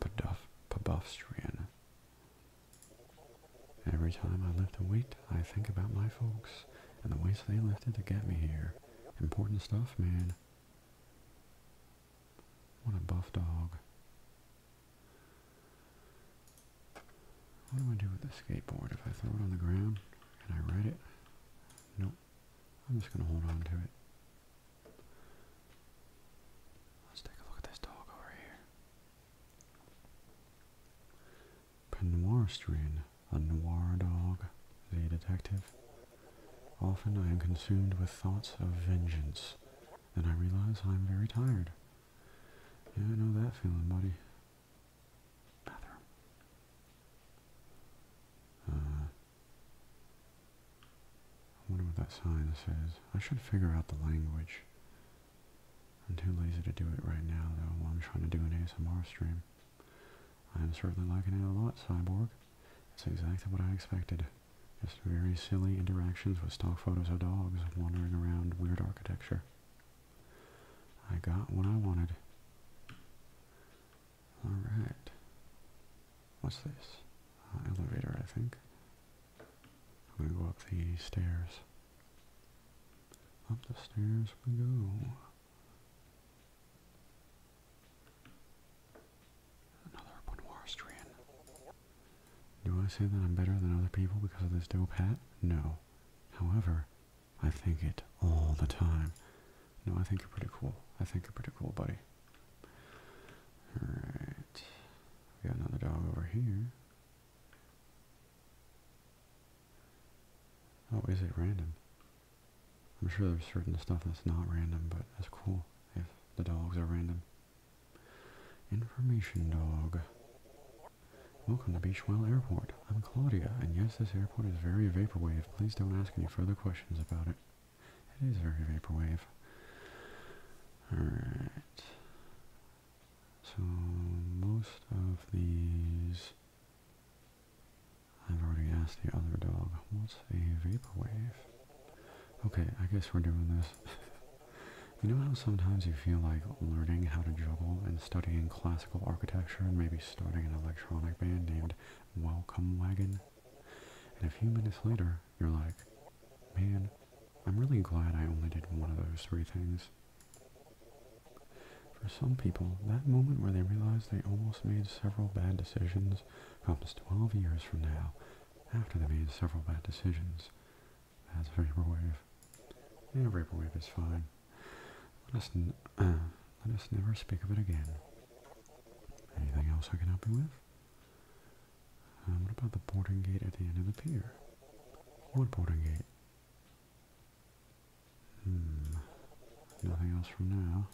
Paduff, Pabuffstrian. Every time I lift a weight I think about my folks and the ways they lifted to get me here. Important stuff, man. What a buff dog. What do I do with the skateboard? If I throw it on the ground, can I ride it? Nope. I'm just going to hold on to it. Let's take a look at this dog over here stream, a noir dog, the detective. Often I am consumed with thoughts of vengeance, then I realize I am very tired. Yeah, I know that feeling, buddy. Bathroom. Uh, I wonder what that sign says. I should figure out the language. I'm too lazy to do it right now, though, while I'm trying to do an ASMR stream. I'm certainly liking it a lot, Cyborg. It's exactly what I expected. Just very silly interactions with stock photos of dogs wandering around weird architecture. I got what I wanted. Alright. What's this? Uh, elevator, I think. I'm going to go up the stairs. Up the stairs we go. Another Bunwarastrian. Do I say that I'm better than other people because of this dope hat? No. However, I think it all the time. No, I think you're pretty cool. I think you're pretty cool, buddy. Alright. We got another dog over here. Oh, is it random? I'm sure there's certain stuff that's not random, but that's cool if the dogs are random. Information dog. Welcome to Beachwell Airport. I'm Claudia, and yes, this airport is very vaporwave. Please don't ask any further questions about it. It is very vaporwave. Alright. So, most of these I've already asked the other dog, what's a vaporwave? Okay, I guess we're doing this. [LAUGHS] you know how sometimes you feel like learning how to juggle and studying classical architecture and maybe starting an electronic band named Welcome Wagon? And a few minutes later, you're like, man, I'm really glad I only did one of those three things. For some people, that moment where they realize they almost made several bad decisions comes 12 years from now, after they made several bad decisions. That's a Vaporwave. Yeah, Vaporwave is fine. Let us, [CLEARS THROAT] let us never speak of it again. Anything else I can help you with? what about the boarding gate at the end of the pier? What boarding gate? Hmm. Nothing else from now.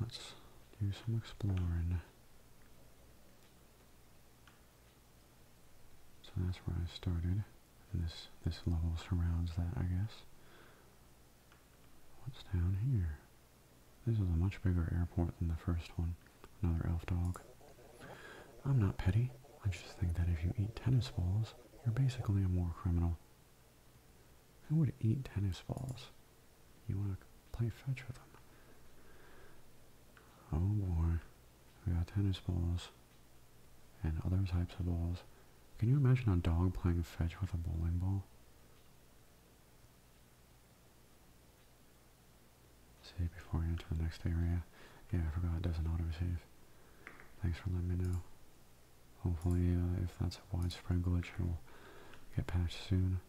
Let's do some exploring. So that's where I started. And this, this level surrounds that, I guess. What's down here? This is a much bigger airport than the first one. Another elf dog. I'm not petty. I just think that if you eat tennis balls, you're basically a war criminal. I would eat tennis balls? You want to play fetch with them. Oh boy, we got tennis balls and other types of balls. Can you imagine a dog playing fetch with a bowling ball? See before you enter the next area. Yeah, I forgot it doesn't autosave. Thanks for letting me know. Hopefully, uh, if that's a widespread glitch, it will get patched soon.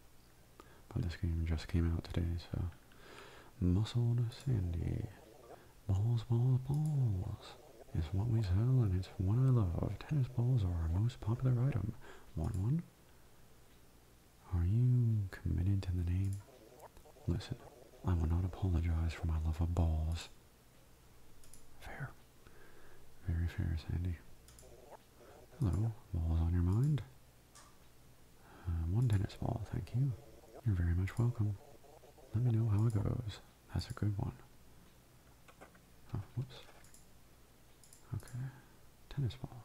But this game just came out today, so... Muscled Sandy. Balls, balls, balls. Is what we sell, and it's what I love. Tennis balls are our most popular item. Want one? Are you committed to the name? Listen, I will not apologize for my love of balls. Fair. Very fair, Sandy. Hello. Balls on your mind? Uh, one tennis ball, thank you. You're very much welcome. Let me know how it goes. That's a good one. Oh, Okay. Tennis ball.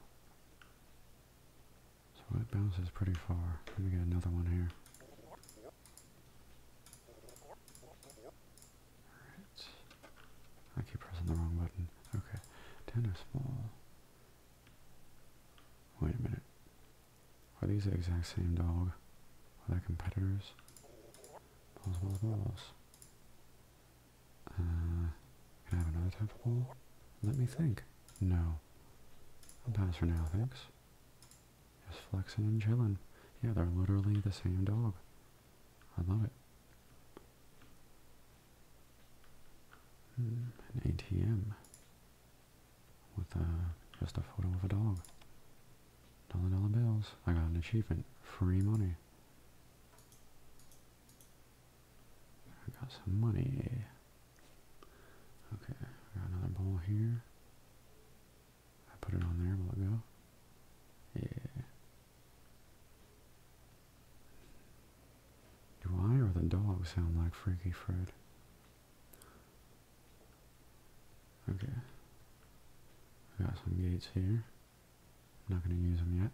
So it bounces pretty far. Let me get another one here. I keep pressing the wrong button. Okay. Tennis small. Wait a minute. Are these the exact same dog? Are they competitors? Balls, balls, balls. Uh, can I have another type ball? Let me think. No. I'll pass for now, thanks. Just flexing and chilling. Yeah, they're literally the same dog. I love it. Hmm, an ATM with a, uh, just a photo of a dog. Dollar dollar bills. I got an achievement. Free money. I got some money. Okay, I got another ball here. I put it on there, will it go? Yeah. Do I or the dog sound like Freaky Fred? Okay. got some gates here. I'm not going to use them yet.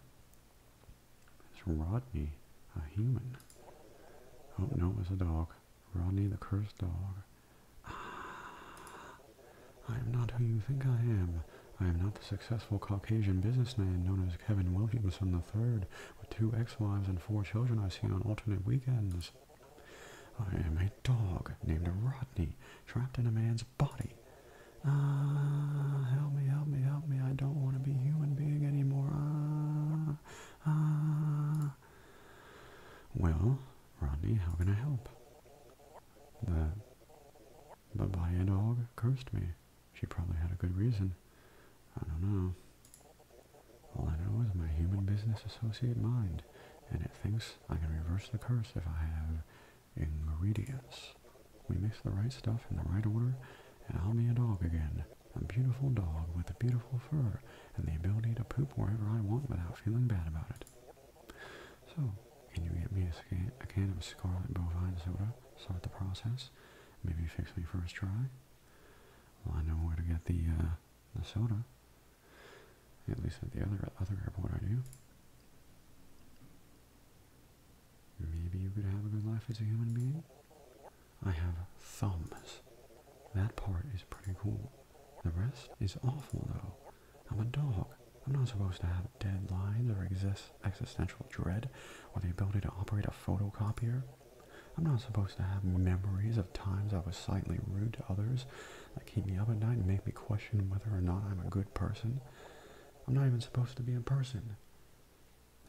It's Rodney, a human. Oh, no, it was a dog. Rodney the cursed dog. Ah, I am not who you think I am. I am not the successful Caucasian businessman known as Kevin Williamson III with two ex-wives and four children I see on alternate weekends. I am a dog named Rodney trapped in a man's body. Ah, help me, help me, help me. I don't want to be human being anymore. Ah, ah. Well, Rodney, how can I help? The Babaya dog cursed me. She probably had a good reason. I don't know. All I know is my human business associate mind, and it thinks I can reverse the curse if I have ingredients. We mix the right stuff in the right order, and I'll be a dog again. A beautiful dog with a beautiful fur, and the ability to poop wherever I want without feeling bad about it. So, can you get me a, can of scarlet bovine soda? Start the process. Maybe fix me first try. Well, I know where to get the uh, the soda. At least at the other other airport, I do. Maybe you could have a good life as a human being. I have thumbs. That part is pretty cool. The rest is awful, though. I'm a dog. I'm not supposed to have deadlines or exist existential dread or the ability to operate a photocopier. I'm not supposed to have memories of times I was slightly rude to others that keep me up at night and make me question whether or not I'm a good person. I'm not even supposed to be a person.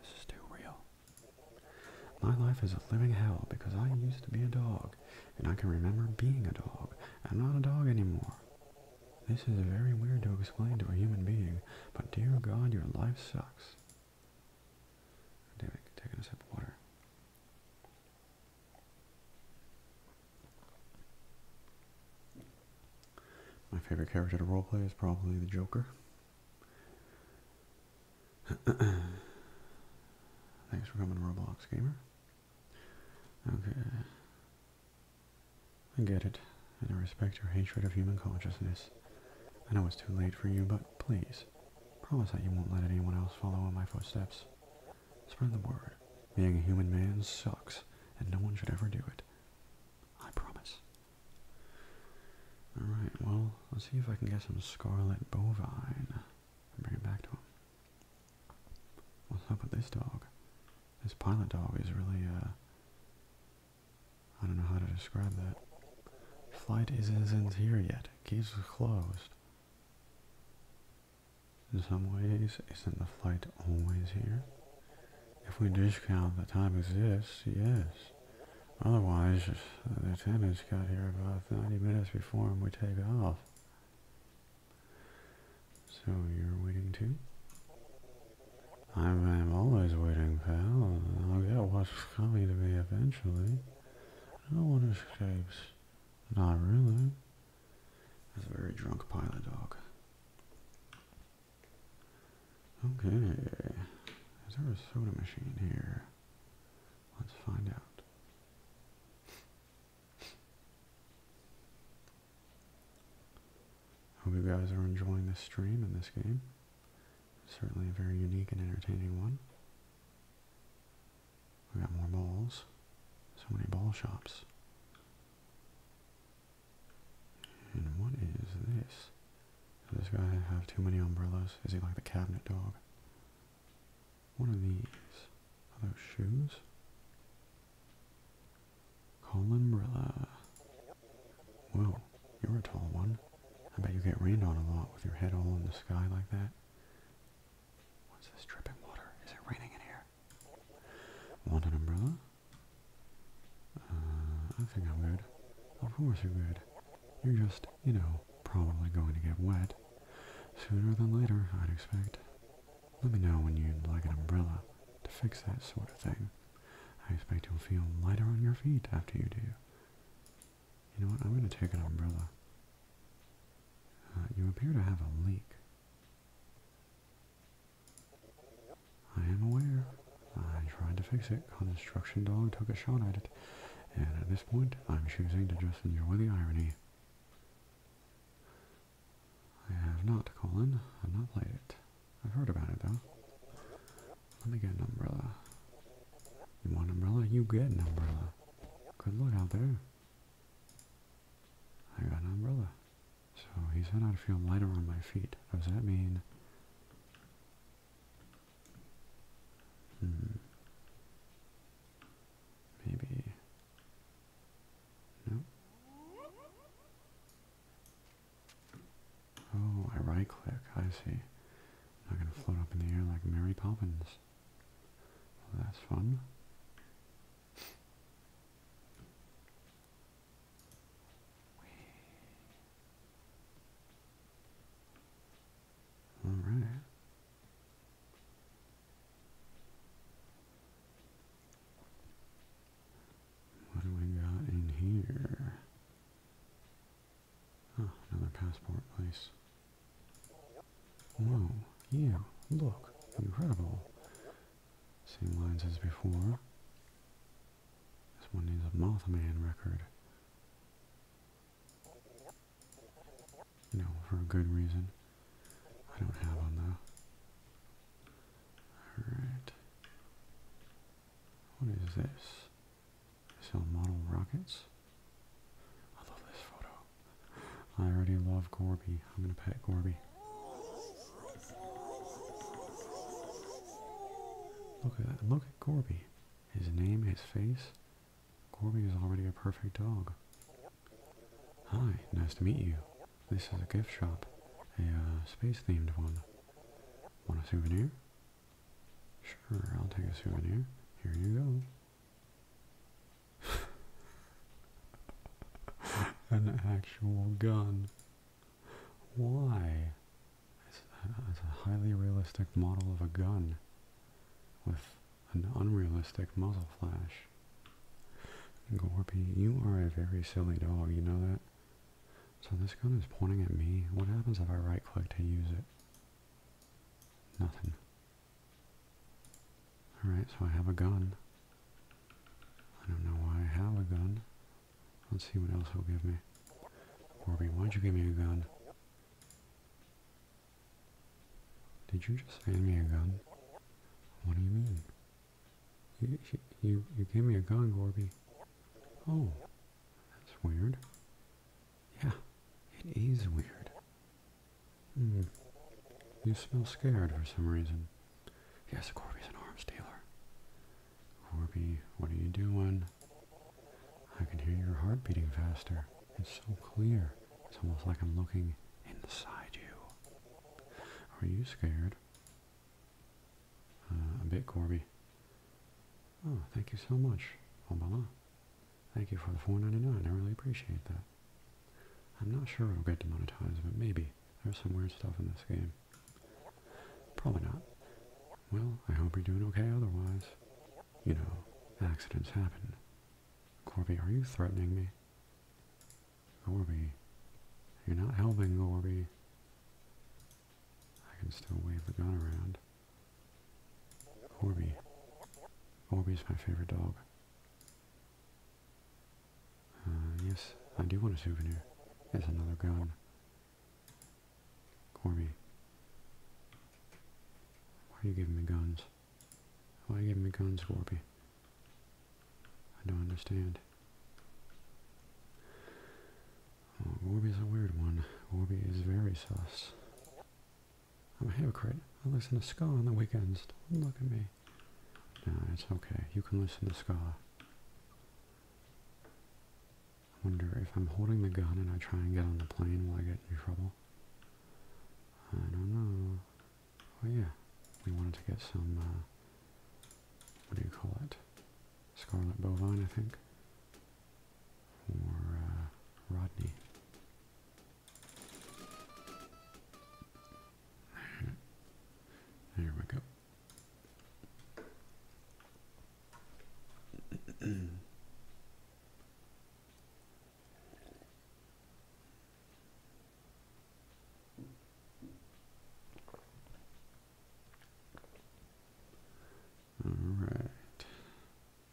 This is too real. My life is a living hell because I used to be a dog and I can remember being a dog. I'm not a dog anymore. This is very weird to explain to a human being, but dear God, your life sucks. David, taking a sip of water. My favorite character to roleplay is probably the Joker. [CLEARS THROAT] Thanks for coming to Roblox Gamer. Okay. I get it, and I respect your hatred of human consciousness. I know it's too late for you, but please, promise that you won't let anyone else follow in my footsteps. Spread the word. Being a human man sucks, and no one should ever do it. I promise. Alright, well, let's see if I can get some scarlet bovine and bring it back to him. What's up with this dog? This pilot dog is really, uh, I don't know how to describe that. Flight isn't here yet. Keys are closed. In some ways, isn't the flight always here? If we discount the time exists, yes. Otherwise, the attendants got here about 90 minutes before we take off. So you're waiting too? I'm, always waiting, pal. I'll get what's coming to me eventually. No one escapes. Not really. That's a very drunk pilot dog. Okay. Is there a soda machine here? Let's find out. Hope you guys are enjoying the stream in this game. Certainly a very unique and entertaining one. We got more balls. So many ball shops. And what is this? Does this guy have too many umbrellas? Is he like the cabinet dog? One of these? Are those shoes? Columbrella. Well, you're a tall one. I bet you get rained on a lot with your head all in the sky like that. What's this dripping water? Is it raining in here? Want an umbrella? Uh, I think I'm good. Of course you're good. You're just, you know, probably going to get wet. Sooner than later, I'd expect. Let me know when you'd like an umbrella to fix that sort of thing. I expect you'll feel lighter on your feet after you do. You know what? I'm going to take an umbrella. Uh, you appear to have a leak. I am aware. I tried to fix it. Construction dog took a shot at it. And at this point, I'm choosing to just enjoy the irony. I have not, Colin. I've not played it. I've heard about it though. Let me get an umbrella. You want an umbrella? You get an umbrella. Good luck out there. I got an umbrella. So he's said I'd feel lighter on my feet. Does that mean... Hmm. Maybe... Nope. Oh, I right click. I see. I'm not going to float up in the air like Mary Poppins. that's fun. Alright. What do we got in here? another passport please. Whoa, Yeah, look, incredible. Same lines as before. This one needs a Mothman record you know, for a good reason. I don't have one though. Alright. What is this? I sell model rockets? I love this photo. I already love Gorby. I'm gonna pet Gorby. Look at that. Look at Gorby. His name, his face. Gorby is already a perfect dog. Hi, nice to meet you. This is a gift shop, a uh, space-themed one. Want a souvenir? Sure, I'll take a souvenir. Here you go. [LAUGHS] An actual gun. Why? Uh, it's a highly realistic model of a gun with an unrealistic muzzle flash. Gorby, you are a very silly dog, you know that? So this gun is pointing at me. What happens if I right click to use it? Nothing. Alright, so I have a gun. I don't know why I have a gun. Let's see what else he'll give me. Gorby, why'd you give me a gun? Did you just hand me a gun? What do you mean? You, you, you gave me a gun, Gorby. Oh, that's weird. Yeah, it is weird. Hmm. You smell scared for some reason. Yes, Corby's an arms dealer. Corby, what are you doing? I can hear your heart beating faster. It's so clear. It's almost like I'm looking inside you. Are you scared? Uh, a bit, Corby. Oh, thank you so much, Obala. Thank you for the 4.99. I really appreciate that. I'm not sure i will get demonetized, but maybe. There's some weird stuff in this game. Probably not. Well, I hope you're doing okay otherwise. You know, accidents happen. Corby, are you threatening me? Orby. You're not helping, Orby. I can still wave the gun around. Orby. Orby's my favorite dog. Uh, yes, I do want a souvenir. It's another gun. Orby. Why are you giving me guns? Why give me guns, Warpy? I don't understand. Oh, Warby's a weird one. Warby is very sus. I'm oh, a hypocrite. I listen to ska on the weekends. look at me. No, it's okay. You can listen to ska. I wonder if I'm holding the gun and I try and get on the plane, will I get in trouble? I don't know. Oh yeah, we wanted to get some, uh, what do you call it? Scarlet bovine, I think. Or uh, Rodney. There we go. All right. [CLEARS THROAT]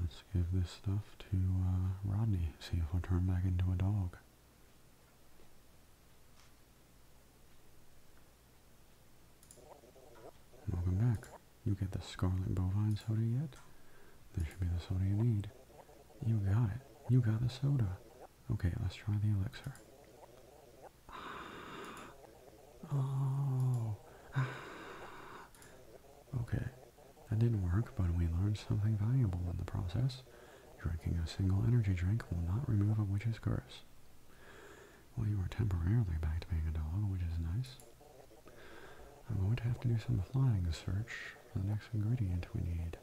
Let's give this stuff to uh, Rodney, see if we will turn back into a dog. Welcome back. You get the Scarlet Bovine soda yet? This should be the soda you need. You got it. You got the soda. Okay, let's try the elixir. Oh. [SIGHS] Okay, that didn't work, but we learned something valuable in the process. Drinking a single energy drink will not remove a witch's curse. Well, you are temporarily back to being a dog, which is nice. I'm going to have to do some flying search for the next ingredient we need.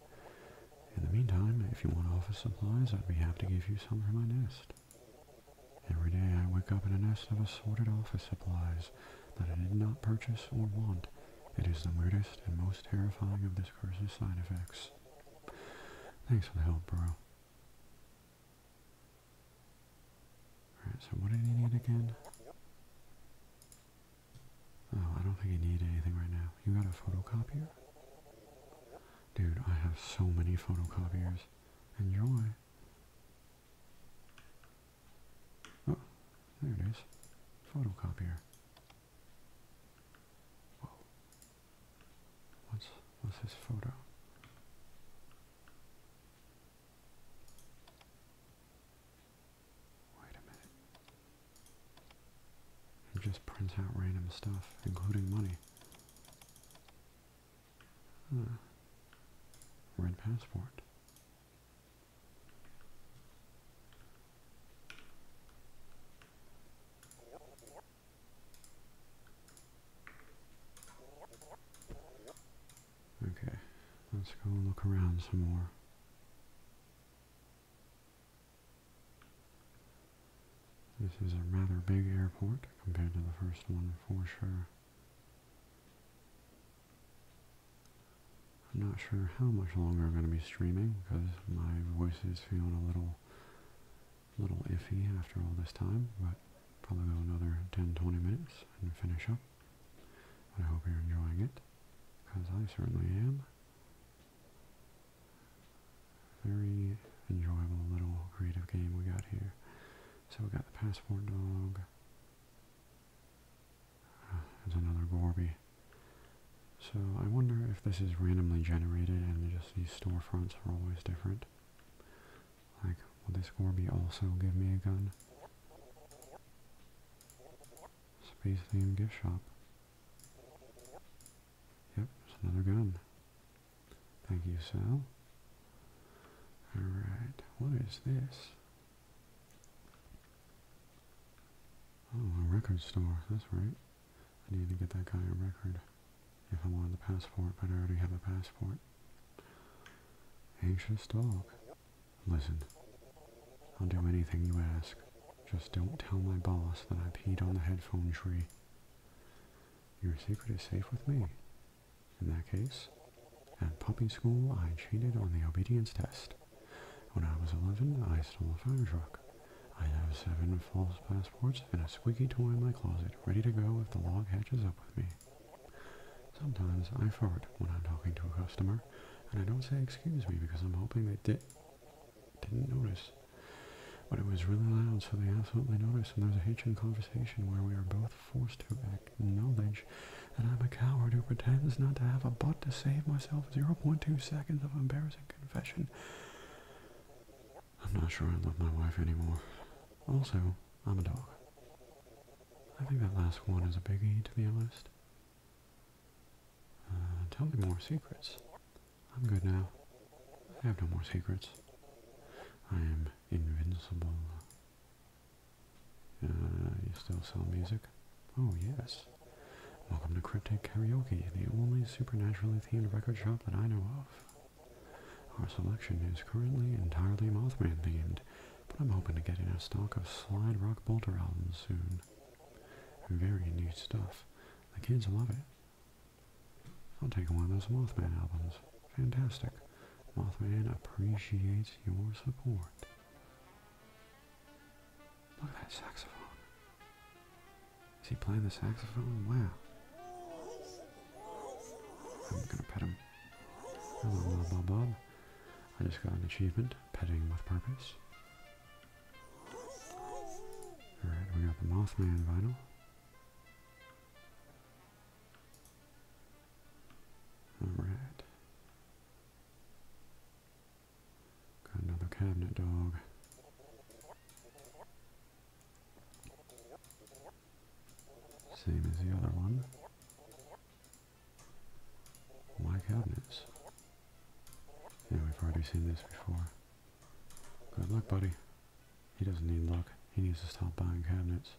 In the meantime, if you want office supplies, I'd be happy to give you some from my nest. Every day I wake up in a nest of assorted office supplies that I did not purchase or want. It is the weirdest and most terrifying of this curse's side effects. Thanks for the help, bro. Alright, so what did he need again? Oh, I don't think I need anything right now. You got a photocopier? Dude, I have so many photocopiers. Enjoy. Oh, there it is. Photocopier. Whoa. What's, what's this photo? Wait a minute. It just prints out random stuff, including money. Huh. Red passport. Okay, let's go look around some more. This is a rather big airport compared to the first one for sure. I'm not sure how much longer I'm going to be streaming because my voice is feeling a little little iffy after all this time, but probably another 10-20 minutes and finish up. I hope you're enjoying it, because I certainly am. Very enjoyable little creative game we got here. So we got the passport dog. Uh, there's another Gorby. So I wonder if this is randomly generated and just these storefronts are always different. Like, will this Gorby also give me a gun? Space theme gift shop. Yep, it's another gun. Thank you, Sal. Alright, what is this? Oh, a record store, that's right. I need to get that guy a record if I wanted the passport, but I already have a passport. Anxious dog. Listen, I'll do anything you ask. Just don't tell my boss that I peed on the headphone tree. Your secret is safe with me. In that case, at puppy school, I cheated on the obedience test. When I was 11, I stole a fire truck. I have seven false passports and a squeaky toy in my closet, ready to go if the log hatches up with me. Sometimes I fart when I'm talking to a customer. And I don't say excuse me because I'm hoping they did, not notice. But it was really loud, so they absolutely noticed, and there's was a hatred conversation where we are both forced to acknowledge that I'm a coward who pretends not to have a butt to save myself 0.2 seconds of embarrassing confession. I'm not sure I love my wife anymore. Also, I'm a dog. I think that last one is a biggie, to be honest. Uh, tell me more secrets. I'm good now. I have no more secrets. I am invincible. Uh, you still sell music? Oh, yes. Welcome to Cryptic Karaoke, the only supernaturally themed record shop that I know of. Our selection is currently entirely Mothman themed, but I'm hoping to get in a stock of Slide Rock Bolter albums soon fun. Very new stuff. The kids love it. I'll take one of those Mothman albums. Fantastic. Mothman appreciates your support. Look at that saxophone. Is he playing the saxophone? Wow. I'm gonna pet him. Hello, Bob Bob. I just got an achievement, petting with purpose. Alright, we got the Moss Man vinyl. Alright. Got another cabinet dog. Same as the other one. My cabinets. Yeah, we've already seen this before. Good luck, buddy. He doesn't need luck. He needs to stop buying cabinets.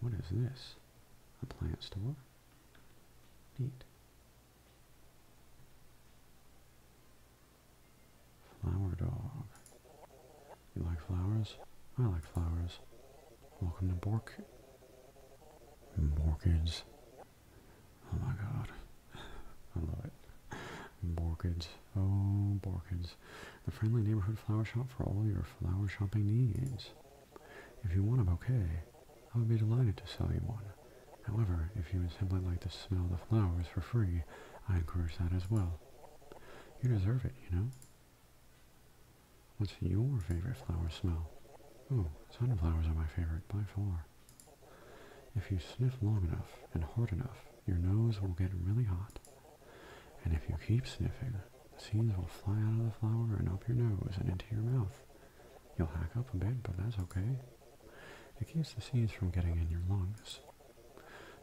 What is this? A plant store? Neat. Flower dog. You like flowers? I like flowers. Welcome to Bork. Borkids. Oh my god. I love it. Borkids. Oh, Borkids. The friendly neighborhood flower shop for all your flower shopping needs. If you want a bouquet, I would be delighted to sell you one. However, if you would simply like to smell the flowers for free, I encourage that as well. You deserve it, you know? What's your favorite flower smell? Oh, sunflowers are my favorite by far. If you sniff long enough and hard enough, your nose will get really hot. And if you keep sniffing, the seeds will fly out of the flower and up your nose and into your mouth. You'll hack up a bit, but that's okay. It keeps the seeds from getting in your lungs.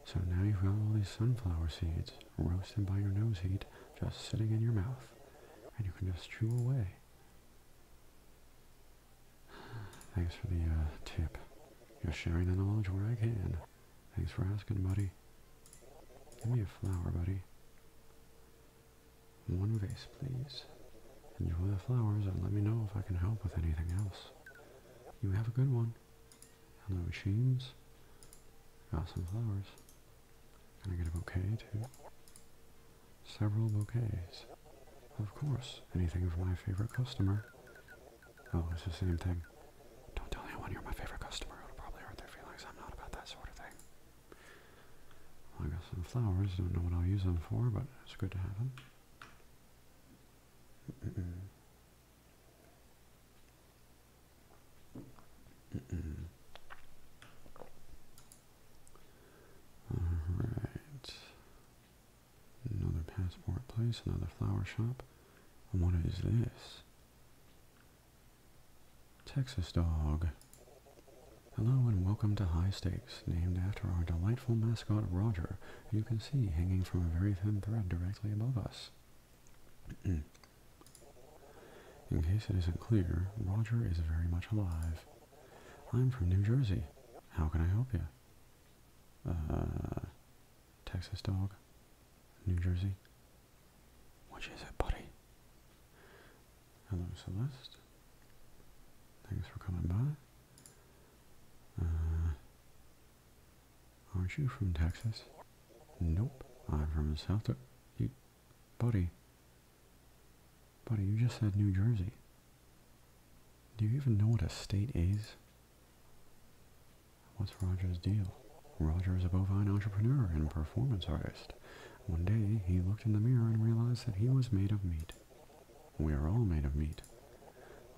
So now you've got all these sunflower seeds roasted by your nose heat just sitting in your mouth. And you can just chew away Thanks for the uh, tip. You're sharing the knowledge where I can. Thanks for asking, buddy. Give me a flower, buddy. One vase, please. Enjoy the flowers and let me know if I can help with anything else. You have a good one. Hello, machines. Got some flowers. Can I get a bouquet, too? Several bouquets. Of course, anything for my favorite customer. Oh, it's the same thing. Don't tell anyone you're my favorite customer. It'll probably hurt their feelings. I'm not about that sort of thing. I got some flowers. Don't know what I'll use them for, but it's good to have them. Alright. Another passport place, another flower shop. And what is this? Texas dog. Hello and welcome to High Stakes, named after our delightful mascot Roger, you can see hanging from a very thin thread directly above us. [CLEARS THROAT] In case it isn't clear, Roger is very much alive. I'm from New Jersey. How can I help you? Uh, Texas dog. New Jersey. What is is it, buddy? Hello, Celeste. Thanks for coming by. Uh, aren't you from Texas? Nope. I'm from the South... you, buddy. Buddy, you just said New Jersey. Do you even know what a state is? What's Roger's deal? Rogers is a bovine entrepreneur and performance artist. One day, he looked in the mirror and realized that he was made of meat. We are all made of meat.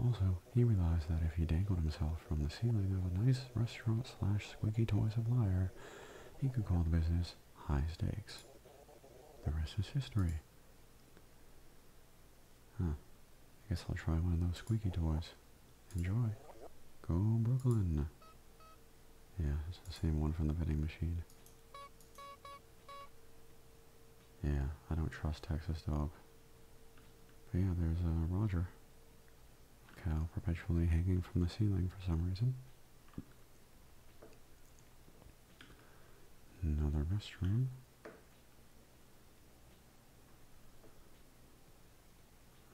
Also, he realized that if he dangled himself from the ceiling of a nice restaurant slash squeaky toy supplier, he could call the business high stakes. The rest is history. Huh. I guess I'll try one of those squeaky toys. Enjoy. Go Brooklyn. Yeah, it's the same one from the vending machine. Yeah, I don't trust Texas Dog. But yeah, there's a uh, Roger. Cow perpetually hanging from the ceiling for some reason. Another restroom.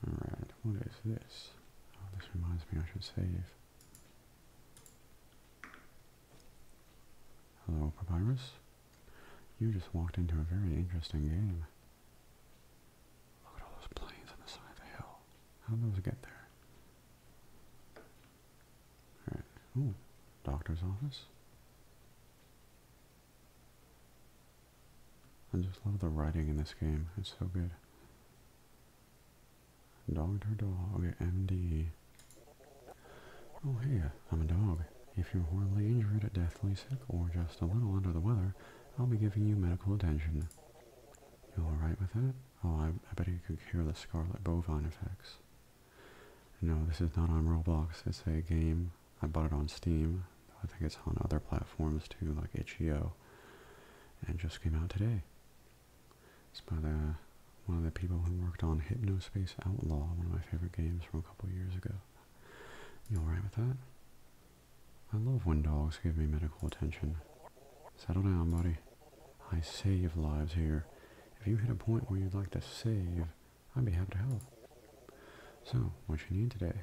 Alright, what is this? Oh, this reminds me I should save. Hello, Papyrus. You just walked into a very interesting game. Look at all those planes on the side of the hill. How did those get there? All right. doctor's office. I just love the writing in this game. It's so good. Dog to dog, MD. Oh, hey, I'm a dog. If you're horribly injured, deathly sick, or just a little under the weather, I'll be giving you medical attention. You alright with that? Oh, I, bet you could hear the Scarlet Bovine effects. No, this is not on Roblox. It's a game. I bought it on Steam. I think it's on other platforms too, like itch.io. And just came out today. It's by the one of the people who worked on Hypnospace Outlaw, one of my favorite games from a couple years ago. You alright with that? I love when dogs give me medical attention. Settle down, buddy. I save lives here. If you hit a point where you'd like to save, I'd be happy to help. So, what you need today?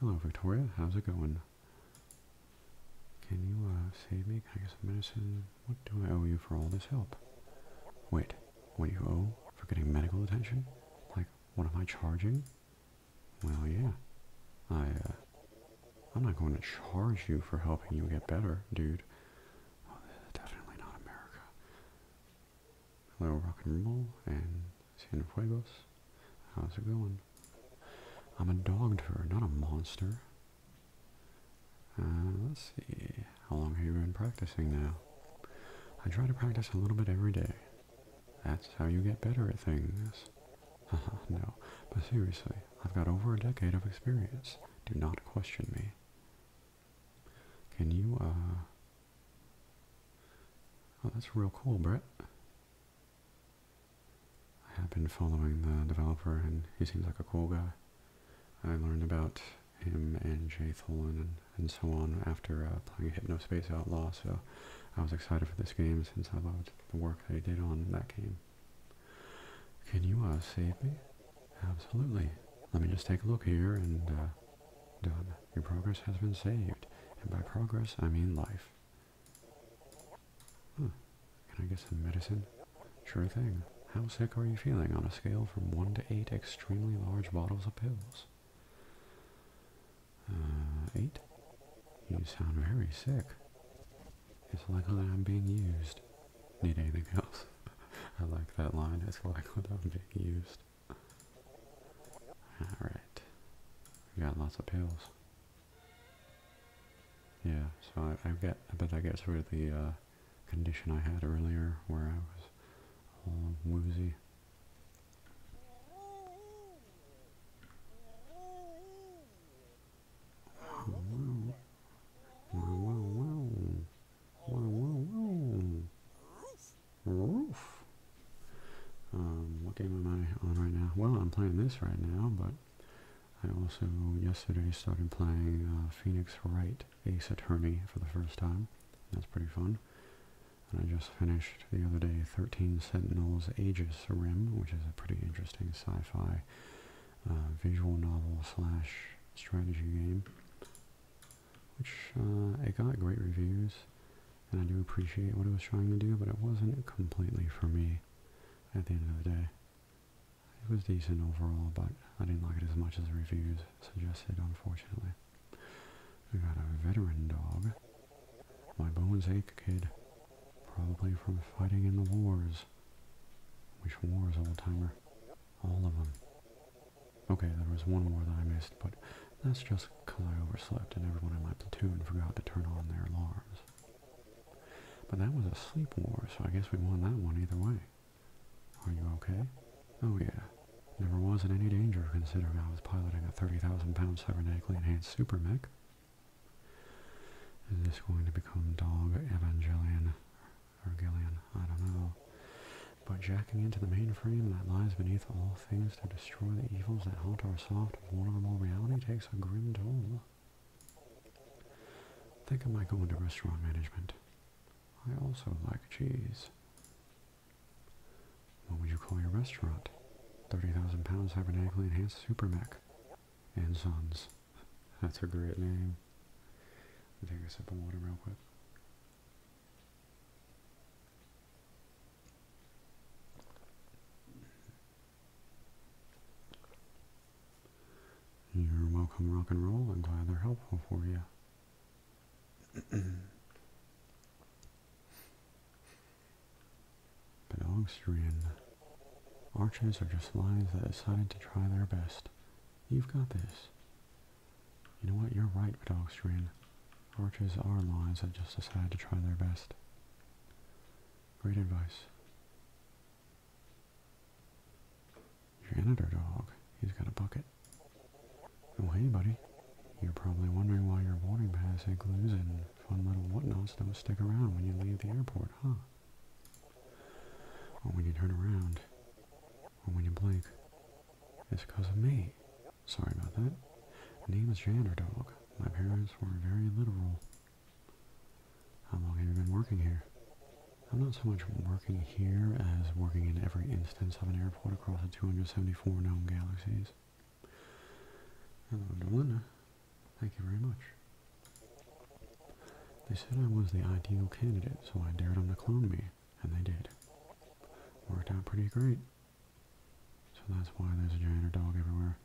Hello, Victoria. How's it going? Can you uh, save me? I guess medicine? What do I owe you for all this help? Wait, what do you owe for getting medical attention? Like, what am I charging? Well, yeah. I, uh, I'm not going to charge you for helping you get better, dude. Well, definitely not America. Hello, rock and roll, and San Fuegos. How's it going? I'm a dog turd, not a monster. Uh, let's see. How long have you been practicing now? I try to practice a little bit every day. That's how you get better at things. [LAUGHS] no, but seriously, I've got over a decade of experience. Do not question me. Can you, uh... Oh, that's real cool, Brett. I have been following the developer, and he seems like a cool guy. I learned about him and Jay Tholen and, so on after uh, Hypno Space Outlaw, so I was excited for this game since I loved the work they did on that game. Can you uh, save me? Absolutely. Let me just take a look here and uh, done. Your progress has been saved. And by progress, I mean life. Can I get some medicine? Sure thing. How sick are you feeling on a scale from 1 to 8 extremely large bottles of pills? 8? Uh, you sound very sick. It's like I'm being used. Need anything else? [LAUGHS] I like that line. It's like [LAUGHS] I'm being used. Alright. got lots of pills. Yeah, so I, I get, I bet that gets rid of the uh, condition I had earlier where I was all woozy. Um, what game am I on right now? Well, I'm playing this right now, but I also yesterday started playing uh, Phoenix Wright Ace Attorney for the first time. That's pretty fun. And I just finished the other day 13 Sentinels Aegis Rim, which is a pretty interesting sci-fi uh, visual novel slash strategy game, which uh, it got great reviews, and I do appreciate what it was trying to do, but it wasn't completely for me at the end of the day. It was decent overall, but I didn't like it as much as the reviews suggested, unfortunately. I got a veteran dog. My bones ache, kid. Probably from fighting in the wars wars. Which wars, old timer? All of them. Okay, there was one more that I missed, but that's just because I overslept and everyone in my platoon forgot to turn on their alarms. But that was a sleep war, so I guess we won that one either way. Are you okay? Oh yeah. Never was in any danger considering I was piloting a 30,000 pound cybernetically enhanced super mech. Is this going to become Dog Evangelion or I don't know, but jacking into the mainframe that lies beneath all things to destroy the evils that haunt our soft, vulnerable reality takes a grim toll. Think I might go into restaurant management. I also like cheese. What would you call your restaurant? 30,000 pounds cybernetically enhanced supermac, And sons. That's a great name. I'll take a sip of water real quick. You're welcome, rock and roll. I'm glad they're helpful for you. Belongs [CLEARS THROAT] to Arches are just lions that decided to try their best. You've got this. You know what? You're right, Vidalstrian. Archers are lions that just decide to try their best. Great advice. editor dog. He's got a bucket. Well, oh, hey, buddy. You're probably wondering why your boarding pass includes and fun little whatnots don't stick around when you leave the airport, huh? Or when you turn around. Or when you blink. It's because of me. Sorry about that. My name is Jander Dog. My parents were very literal. How long have you been working here? I'm not so much working here as working in every instance of an airport across the 274 known galaxies. Hello, Delinda. Thank you very much. They said I was the ideal candidate, so I dared them to clone me, and they did. Worked out pretty great. So that's why there's a giant dog everywhere.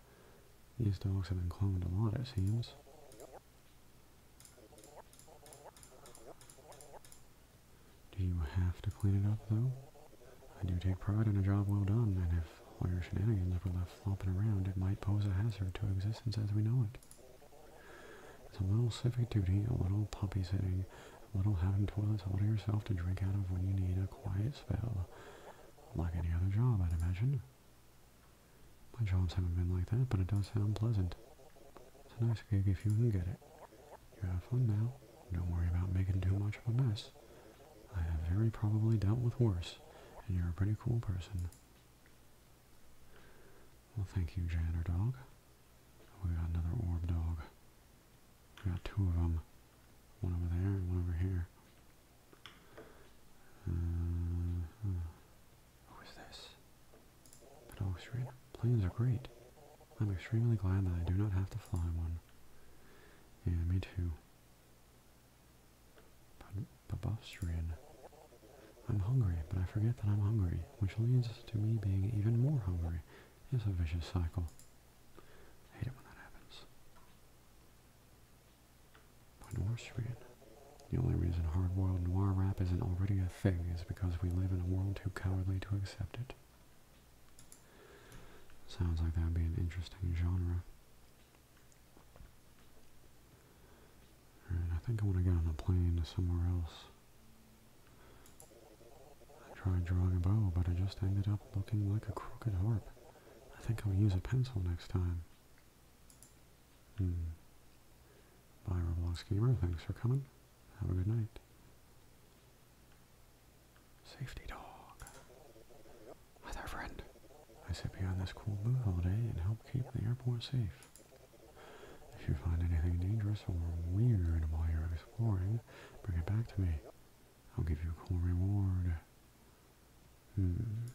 These dogs have been cloned a lot, it seems. Do you have to clean it up, though? I do take pride in a job well done, and if all your shenanigans were left flopping around, it might pose a hazard to existence as we know it. It's a little civic duty, a little puppy sitting, a little having toilets all to yourself to drink out of when you need a quiet spell. Like any other job, I'd imagine. My jobs haven't been like that, but it does sound pleasant. It's a nice gig if you can get it. You have fun now. Don't worry about making too much of a mess. I have very probably dealt with worse, and you're a pretty cool person. Well, thank you, Janitor Dog. We got another orb dog. We got two of them. One over there and one over here. Uh, huh. this? The dog street. Planes are great. I'm extremely glad that I do not have to fly one. Yeah, me too. Babastrian. I'm hungry, but I forget that I'm hungry, which leads to me being even more hungry. It's a vicious cycle. I hate it when that happens. By Noirstrian. The only reason hard-boiled noir rap isn't already a thing is because we live in a world too cowardly to accept it. Sounds like that would be an interesting genre. I think I want to get on a plane to somewhere else. I tried drawing a bow, but I just ended up looking like a crooked harp. I think I'll use a pencil next time. Hmm. Bye, Roblox Thanks for coming. Have a good night. Safety dog. Hi there, friend. I sit behind this cool booth all day and help keep the airport safe. If you find anything dangerous or weird while you're exploring, bring it back to me. I'll give you a cool reward. Hmm.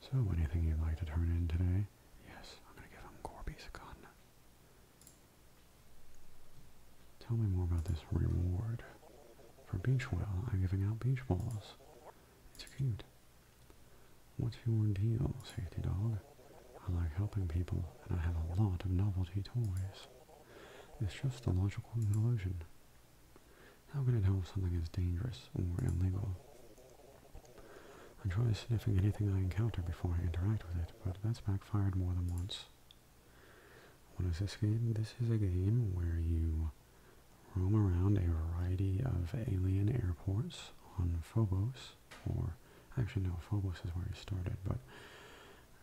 So, anything you'd like to turn in today? Yes, I'm gonna give him Corby's gun. Tell me more about this reward. For beach whale, I'm giving out beach balls. It's cute. What's your deal, safety dog? I like helping people, and I have a lot of novelty toys. It's just a logical illusion. How can it help something is dangerous or illegal? I try sniffing anything I encounter before I interact with it, but that's backfired more than once. What is this game? This is a game where you roam around a variety of alien airports on Phobos, or actually no, Phobos is where he started, but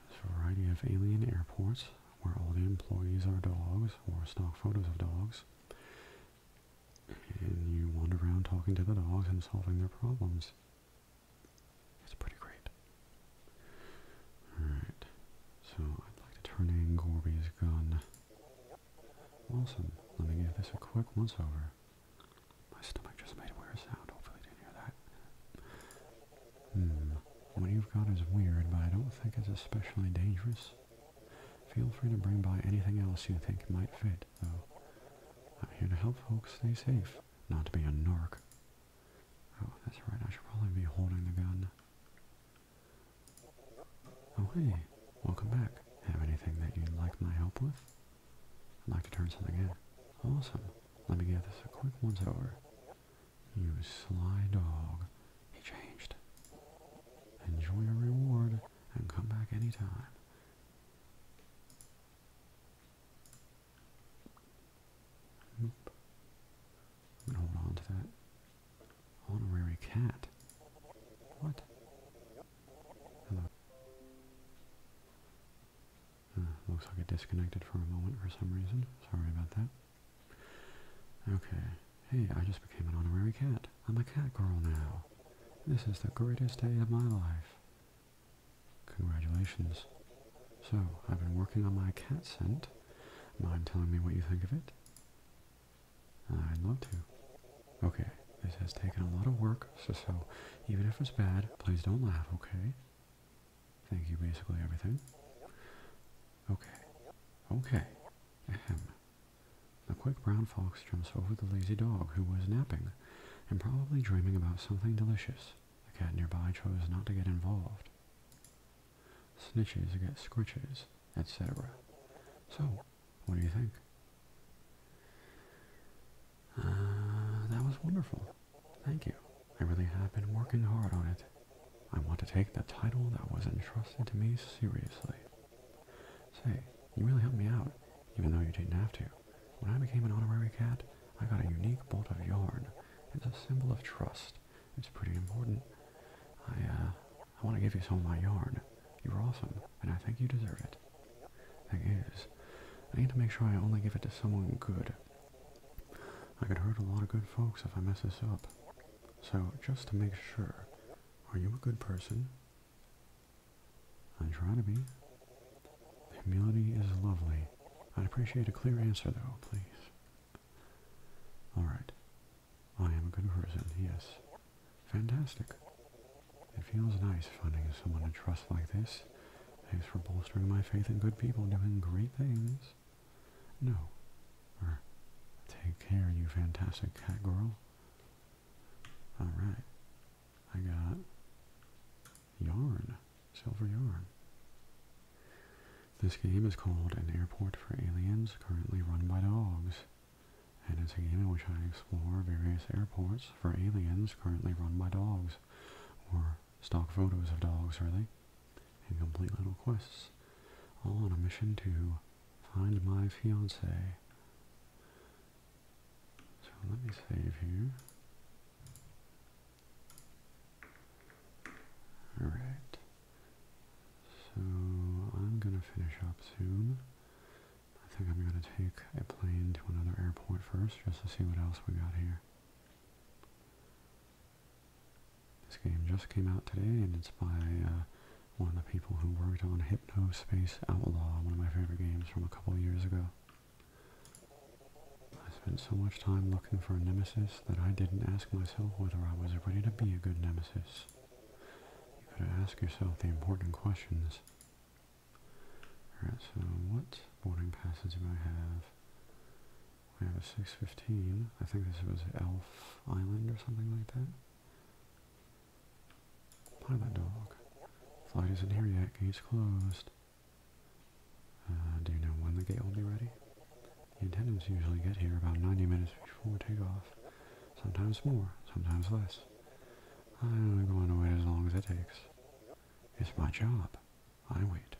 there's a variety of alien airports where all the employees are dogs or stock photos of dogs. And you wander around talking to the dogs and solving their problems. It's pretty great. Alright, so I'd like to turn in Gorby's gun. Awesome. Let me give this a quick once over. My stomach just made weird sound. Hopefully didn't hear that. Hmm. What you've got is weird, but I don't think it's especially dangerous. Feel free to bring by anything else you think might fit, though. I'm here to help folks stay safe, not to be a narc. Oh, that's right, I should probably be holding the gun. Oh hey, welcome back. Have anything that you'd like my help with? I'd like to turn something in. Awesome. Let me give this a quick once over. You sly dog. He changed. Enjoy your reward and come back anytime. Nope. hold on to that. Honorary cat. What? Hello. Hmm. looks like it disconnected for a moment for some reason. Sorry about that. Okay. Hey, I just became an honorary cat. I'm a cat girl now. This is the greatest day of my life. Congratulations. So, I've been working on my cat scent. Mind telling me what you think of it? I'd love to. Okay, this has taken a lot of work, so, even if it's bad, please don't laugh, okay? Thank you, basically everything. Okay. Okay. Ahem. The quick brown fox jumps over the lazy dog, who was napping, and probably dreaming about something delicious. The cat nearby chose not to get involved. Snitches get scritches, etc. So, what do you think? Uh, that was wonderful. Thank you. I really have been working hard on it. I want to take the title that was entrusted to me seriously. Say, you really helped me out, even though you didn't have to. When I became an honorary cat, I got a unique bolt of yarn. It's a symbol of trust. It's pretty important. I, uh, I want to give you some of my yarn. You are awesome and I think you deserve it. Thing is, I need to make sure I only give it to someone good. I could hurt a lot of good folks if I mess this up. So, just to make sure, are you a good person? I am trying to be. Humility is lovely. I'd appreciate a clear answer, though, please. Alright. I am a good person, yes. Fantastic. It feels nice finding someone to trust like this. Thanks for bolstering my faith in good people doing great things. No. take care, you fantastic cat girl. Alright. I got yarn. Silver yarn. This game is called An Airport for Aliens, currently run by dogs and it's a game in which I explore various airports for aliens currently run by dogs, or stock photos of dogs, really, and complete little quests, all on a mission to find my fiance. So let me save here. Alright, so I'm going to finish up soon. I think I'm going to take a plane to another airport first just to see what else we got here. This game just came out today and it's by uh, one of the people who worked on Hypno Space Outlaw, one of my favorite games from a couple of years ago. I spent so much time looking for a nemesis that I didn't ask myself whether I was ready to be a good nemesis. You gotta ask yourself the important questions. Alright, so what boarding passes do I have? I have a 615. I think this was Elf Island or something like that. Pilot dog. Flight isn't here yet. Gate's closed. Uh, do you know when the gate will be ready? The attendants usually get here about 90 minutes before takeoff. Sometimes more, sometimes less. I'm going to wait as long as it takes. It's my job. I wait.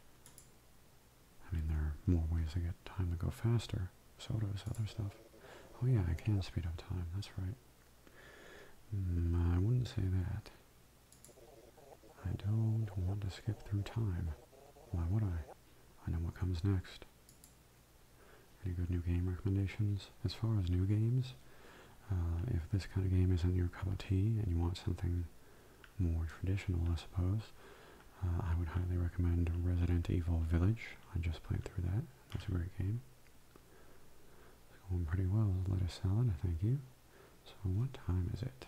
I mean, there are more ways to get time to go faster. So does other stuff. Oh yeah, I can speed up time. That's right. Mm, I wouldn't say that. I don't want to skip through time. Why would I? I know what comes next. Any good new game recommendations? As far as new games, uh, if this kind of game isn't your cup of tea and you want something more traditional, I suppose, uh, I would highly recommend Resident Evil Village. I just played through that. That's a great game. It's going pretty well. Let us salad, thank you. So what time is it?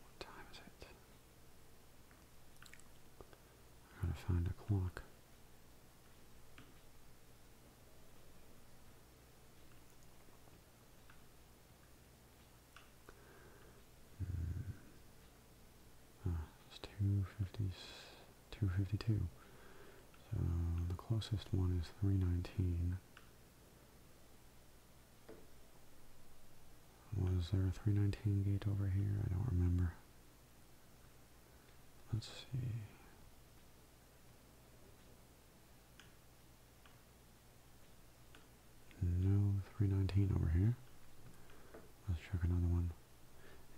What time is it? I gotta find a clock. Hmm. Ah, it's 252. So the closest one is 319. Was there a 319 gate over here? I don't remember. Let's see. No 319 over here. Let's check another one.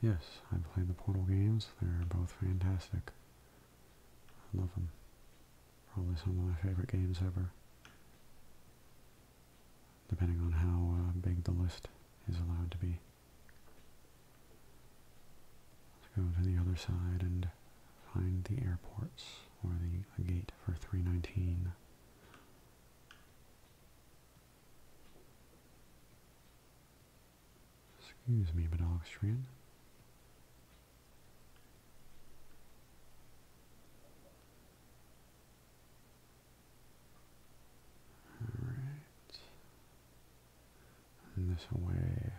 Yes, I have played the Portal games. They're both fantastic. I love them. Probably some of my favorite games ever. Depending on how uh, big the list is allowed to be. Let's go to the other side and find the airports or the gate for 319. Excuse me, but Badogstrian. All right. this way.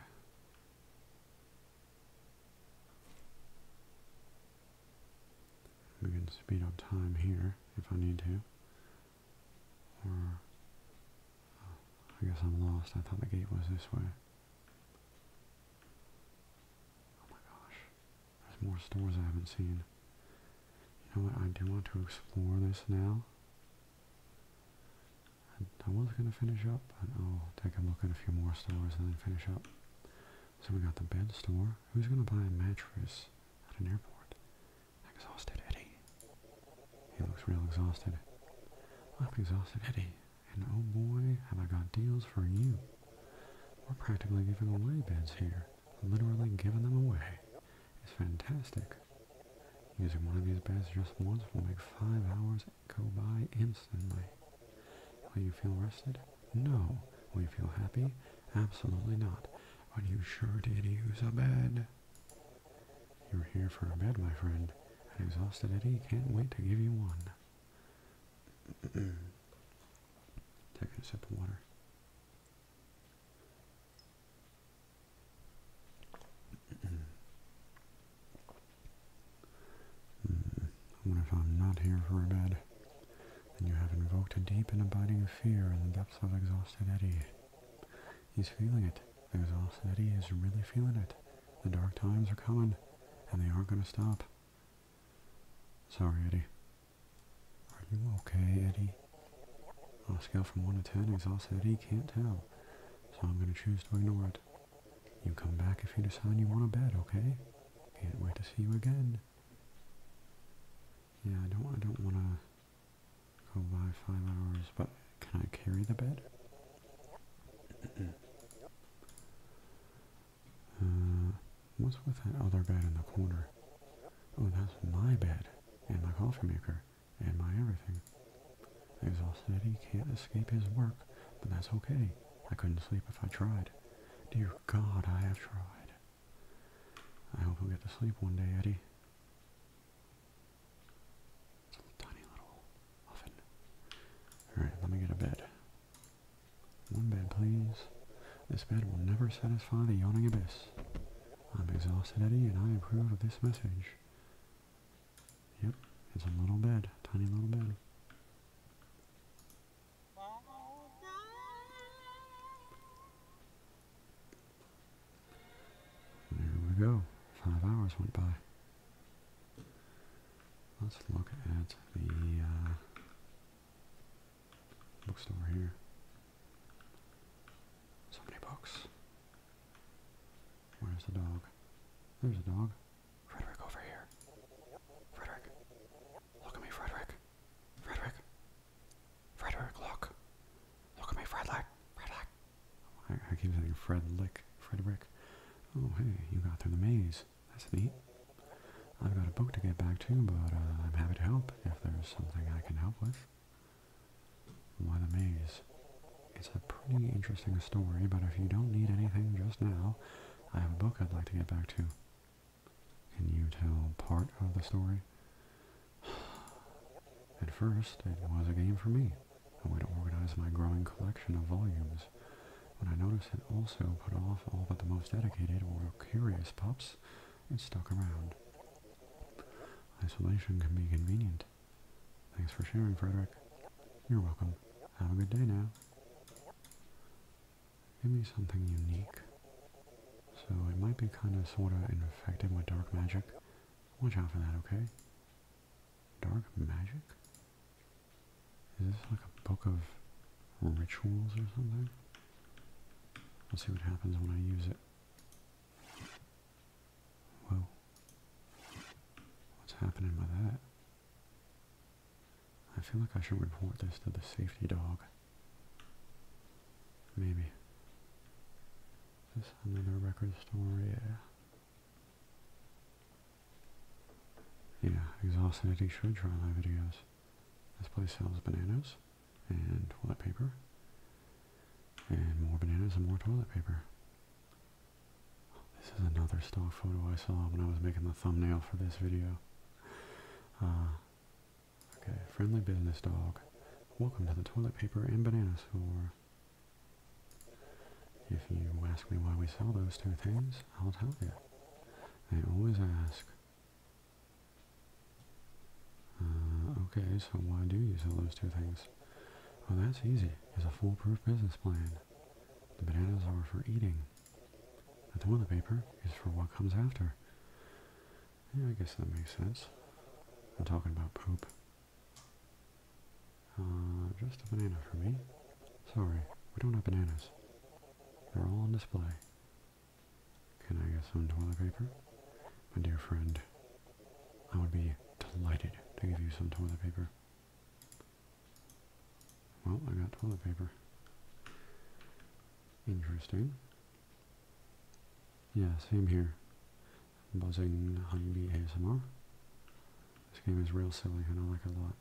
We can speed up time here if I need to. Or, uh, I guess I'm lost. I thought the gate was this way. Oh my gosh. There's more stores I haven't seen. You know what? I do want to explore this now. I was going to finish up, but I'll take a look at a few more stores and then finish up. So we got the bed store. Who's going to buy a mattress at an airport? Exhausted Eddie. He looks real exhausted. I'm exhausted Eddie. And oh boy, have I got deals for you. We're practically giving away beds here. Literally giving them away. It's fantastic. Using one of these beds just once will make five hours go by instantly. Will you feel rested? No. Will you feel happy? Absolutely not. But you sure did use a bed. You're here for a bed, my friend. exhausted Eddie can't wait to give you one. [CLEARS THROAT] Taking a sip of water mm. if I'm not here for a bed. Then you have invoked a deep and abiding fear in the depths of exhausted Eddie. He's feeling it. Exhausted Eddie is really feeling it. The dark times are coming, and they aren't going to stop. Sorry, Eddie. Are you okay, Eddie? On a scale from 1 to 10, exhaust said he can't tell. So I'm going to choose to ignore it. You come back if you decide you want a bed, okay? Can't wait to see you again. Yeah, I don't, I don't want to go by five hours, but can I carry the bed? [CLEARS THROAT] Uh, what's with that other bed in the corner? Oh, that's my bed and my coffee maker and my everything. Exhausted Eddie can't escape his work, but that's okay. I couldn't sleep if I tried. Dear God, I have tried. I hope I will get to sleep one day, Eddie. It's a tiny little oven. Alright, let me get a bed. One bed, please. This bed will never satisfy the yawning abyss. I'm exhausted, Eddie, and I approve of this message. Yep, it's a little bed, tiny little bed. There we go. Five hours went by. Let's look at the uh, bookstore here. So many books. Where's the dog? There's a dog. Frederick over here. Frederick. Look at me, Frederick. Frederick. Frederick, look. Look at me, Frederick. Frederick. I, I keep saying Fredlick. Frederick. Oh, hey, you got through the maze. That's neat. I've got a book to get back to, but uh, I'm happy to help if there's something I can help with. Why the maze? It's a pretty interesting story, but if you don't need anything just now, I have a book I'd like to get back to. Can you tell part of the story? [SIGHS] At first, it was a game for me, I way to organize my growing collection of volumes. but I noticed it also put off all but the most dedicated or curious pups, and stuck around. Isolation can be convenient. Thanks for sharing, Frederick. You're welcome. Have a good day now. Give me something unique. So it might be kind of sort of infected with dark magic. Watch out for that, okay? Dark magic? Is this like a book of rituals or something? Let's see what happens when I use it. Whoa. What's happening with that? I feel like I should report this to the safety dog. Maybe. Is another record story. Yeah. Yeah, Exhausted Eddie should try my videos. This place sells bananas and toilet paper, and more bananas and more toilet paper. This is another stock photo I saw when I was making the thumbnail for this video. Uh, okay, friendly business dog. Welcome to the toilet paper and bananas store. If you ask me why we sell those two things, I'll tell you. They always ask. Uh, okay, so why do you sell those two things? Well, that's easy. It's a foolproof business plan. The bananas are for eating. The toilet paper is for what comes after. Yeah, I guess that makes sense. I'm talking about poop. Uh, just a banana for me. Sorry, we don't have bananas. They're all on display. Can I get some toilet paper? My dear friend, I would be delighted to give you some toilet paper. Well, I got toilet paper. Interesting. Yeah, same here. Buzzing Honeybee ASMR. This game is real silly I don't like a lot.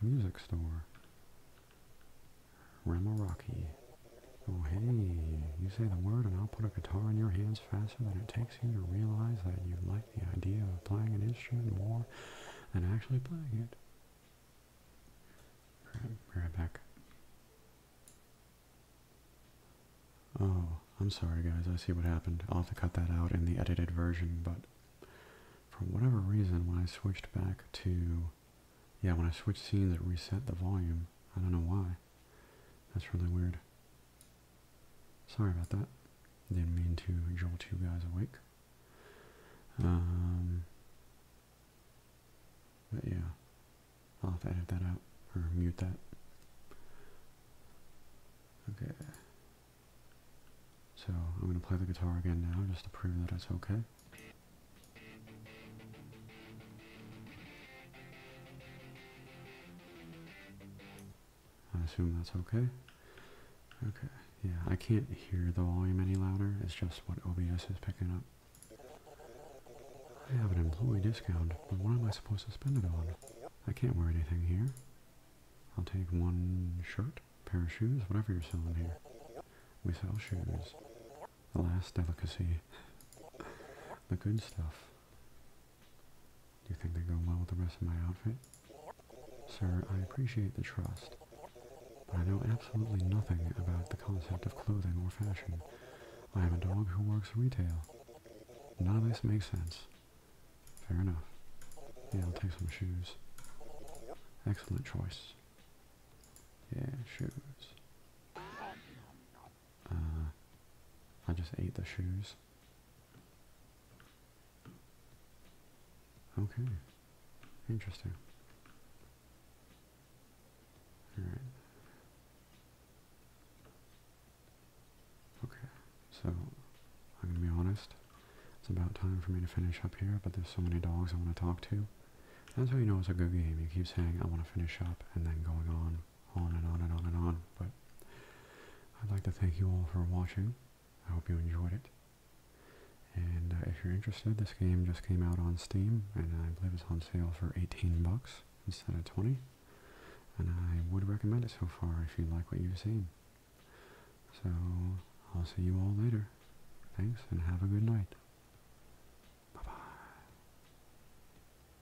Music store. Ramoraki. Oh hey, you say the word and I'll put a guitar in your hands faster than it takes you to realize that you like the idea of playing an instrument more than actually playing it. right back. Oh, I'm sorry guys, I see what happened. I'll have to cut that out in the edited version, but for whatever reason, when I switched back to... Yeah, when I switched scenes, it reset the volume. I don't know why. That's really weird. Sorry about that. Didn't mean to jolt you guys awake. Um, but yeah, I'll have to edit that out or mute that. Okay. So I'm going to play the guitar again now just to prove that it's okay. I assume that's okay. Okay, yeah, I can't hear the volume any louder. It's just what OBS is picking up. I have an employee discount, but what am I supposed to spend it on? I can't wear anything here. I'll take one shirt, pair of shoes, whatever you're selling here. We sell shoes. The last delicacy. [LAUGHS] the good stuff. Do you think they go well with the rest of my outfit? Sir, I appreciate the trust, but I know absolutely nothing about the concept of clothing or fashion. I am a dog who works retail. None of this makes sense. Fair enough. Yeah, will take some shoes. Excellent choice. Yeah, shoes. Uh, I just ate the shoes. Okay. Interesting. Alright. Okay, so I'm gonna be honest. It's about time for me to finish up here, but there's so many dogs I want to talk to. That's how you know it's a good game. You keep saying, I want to finish up, and then going on on and on and on and on. But I'd like to thank you all for watching. I hope you enjoyed it. And uh, if you're interested, this game just came out on Steam, and I believe it's on sale for 18 bucks instead of 20. And I would recommend it so far if you like what you've seen. So I'll see you all later. Thanks, and have a good night. Bye-bye.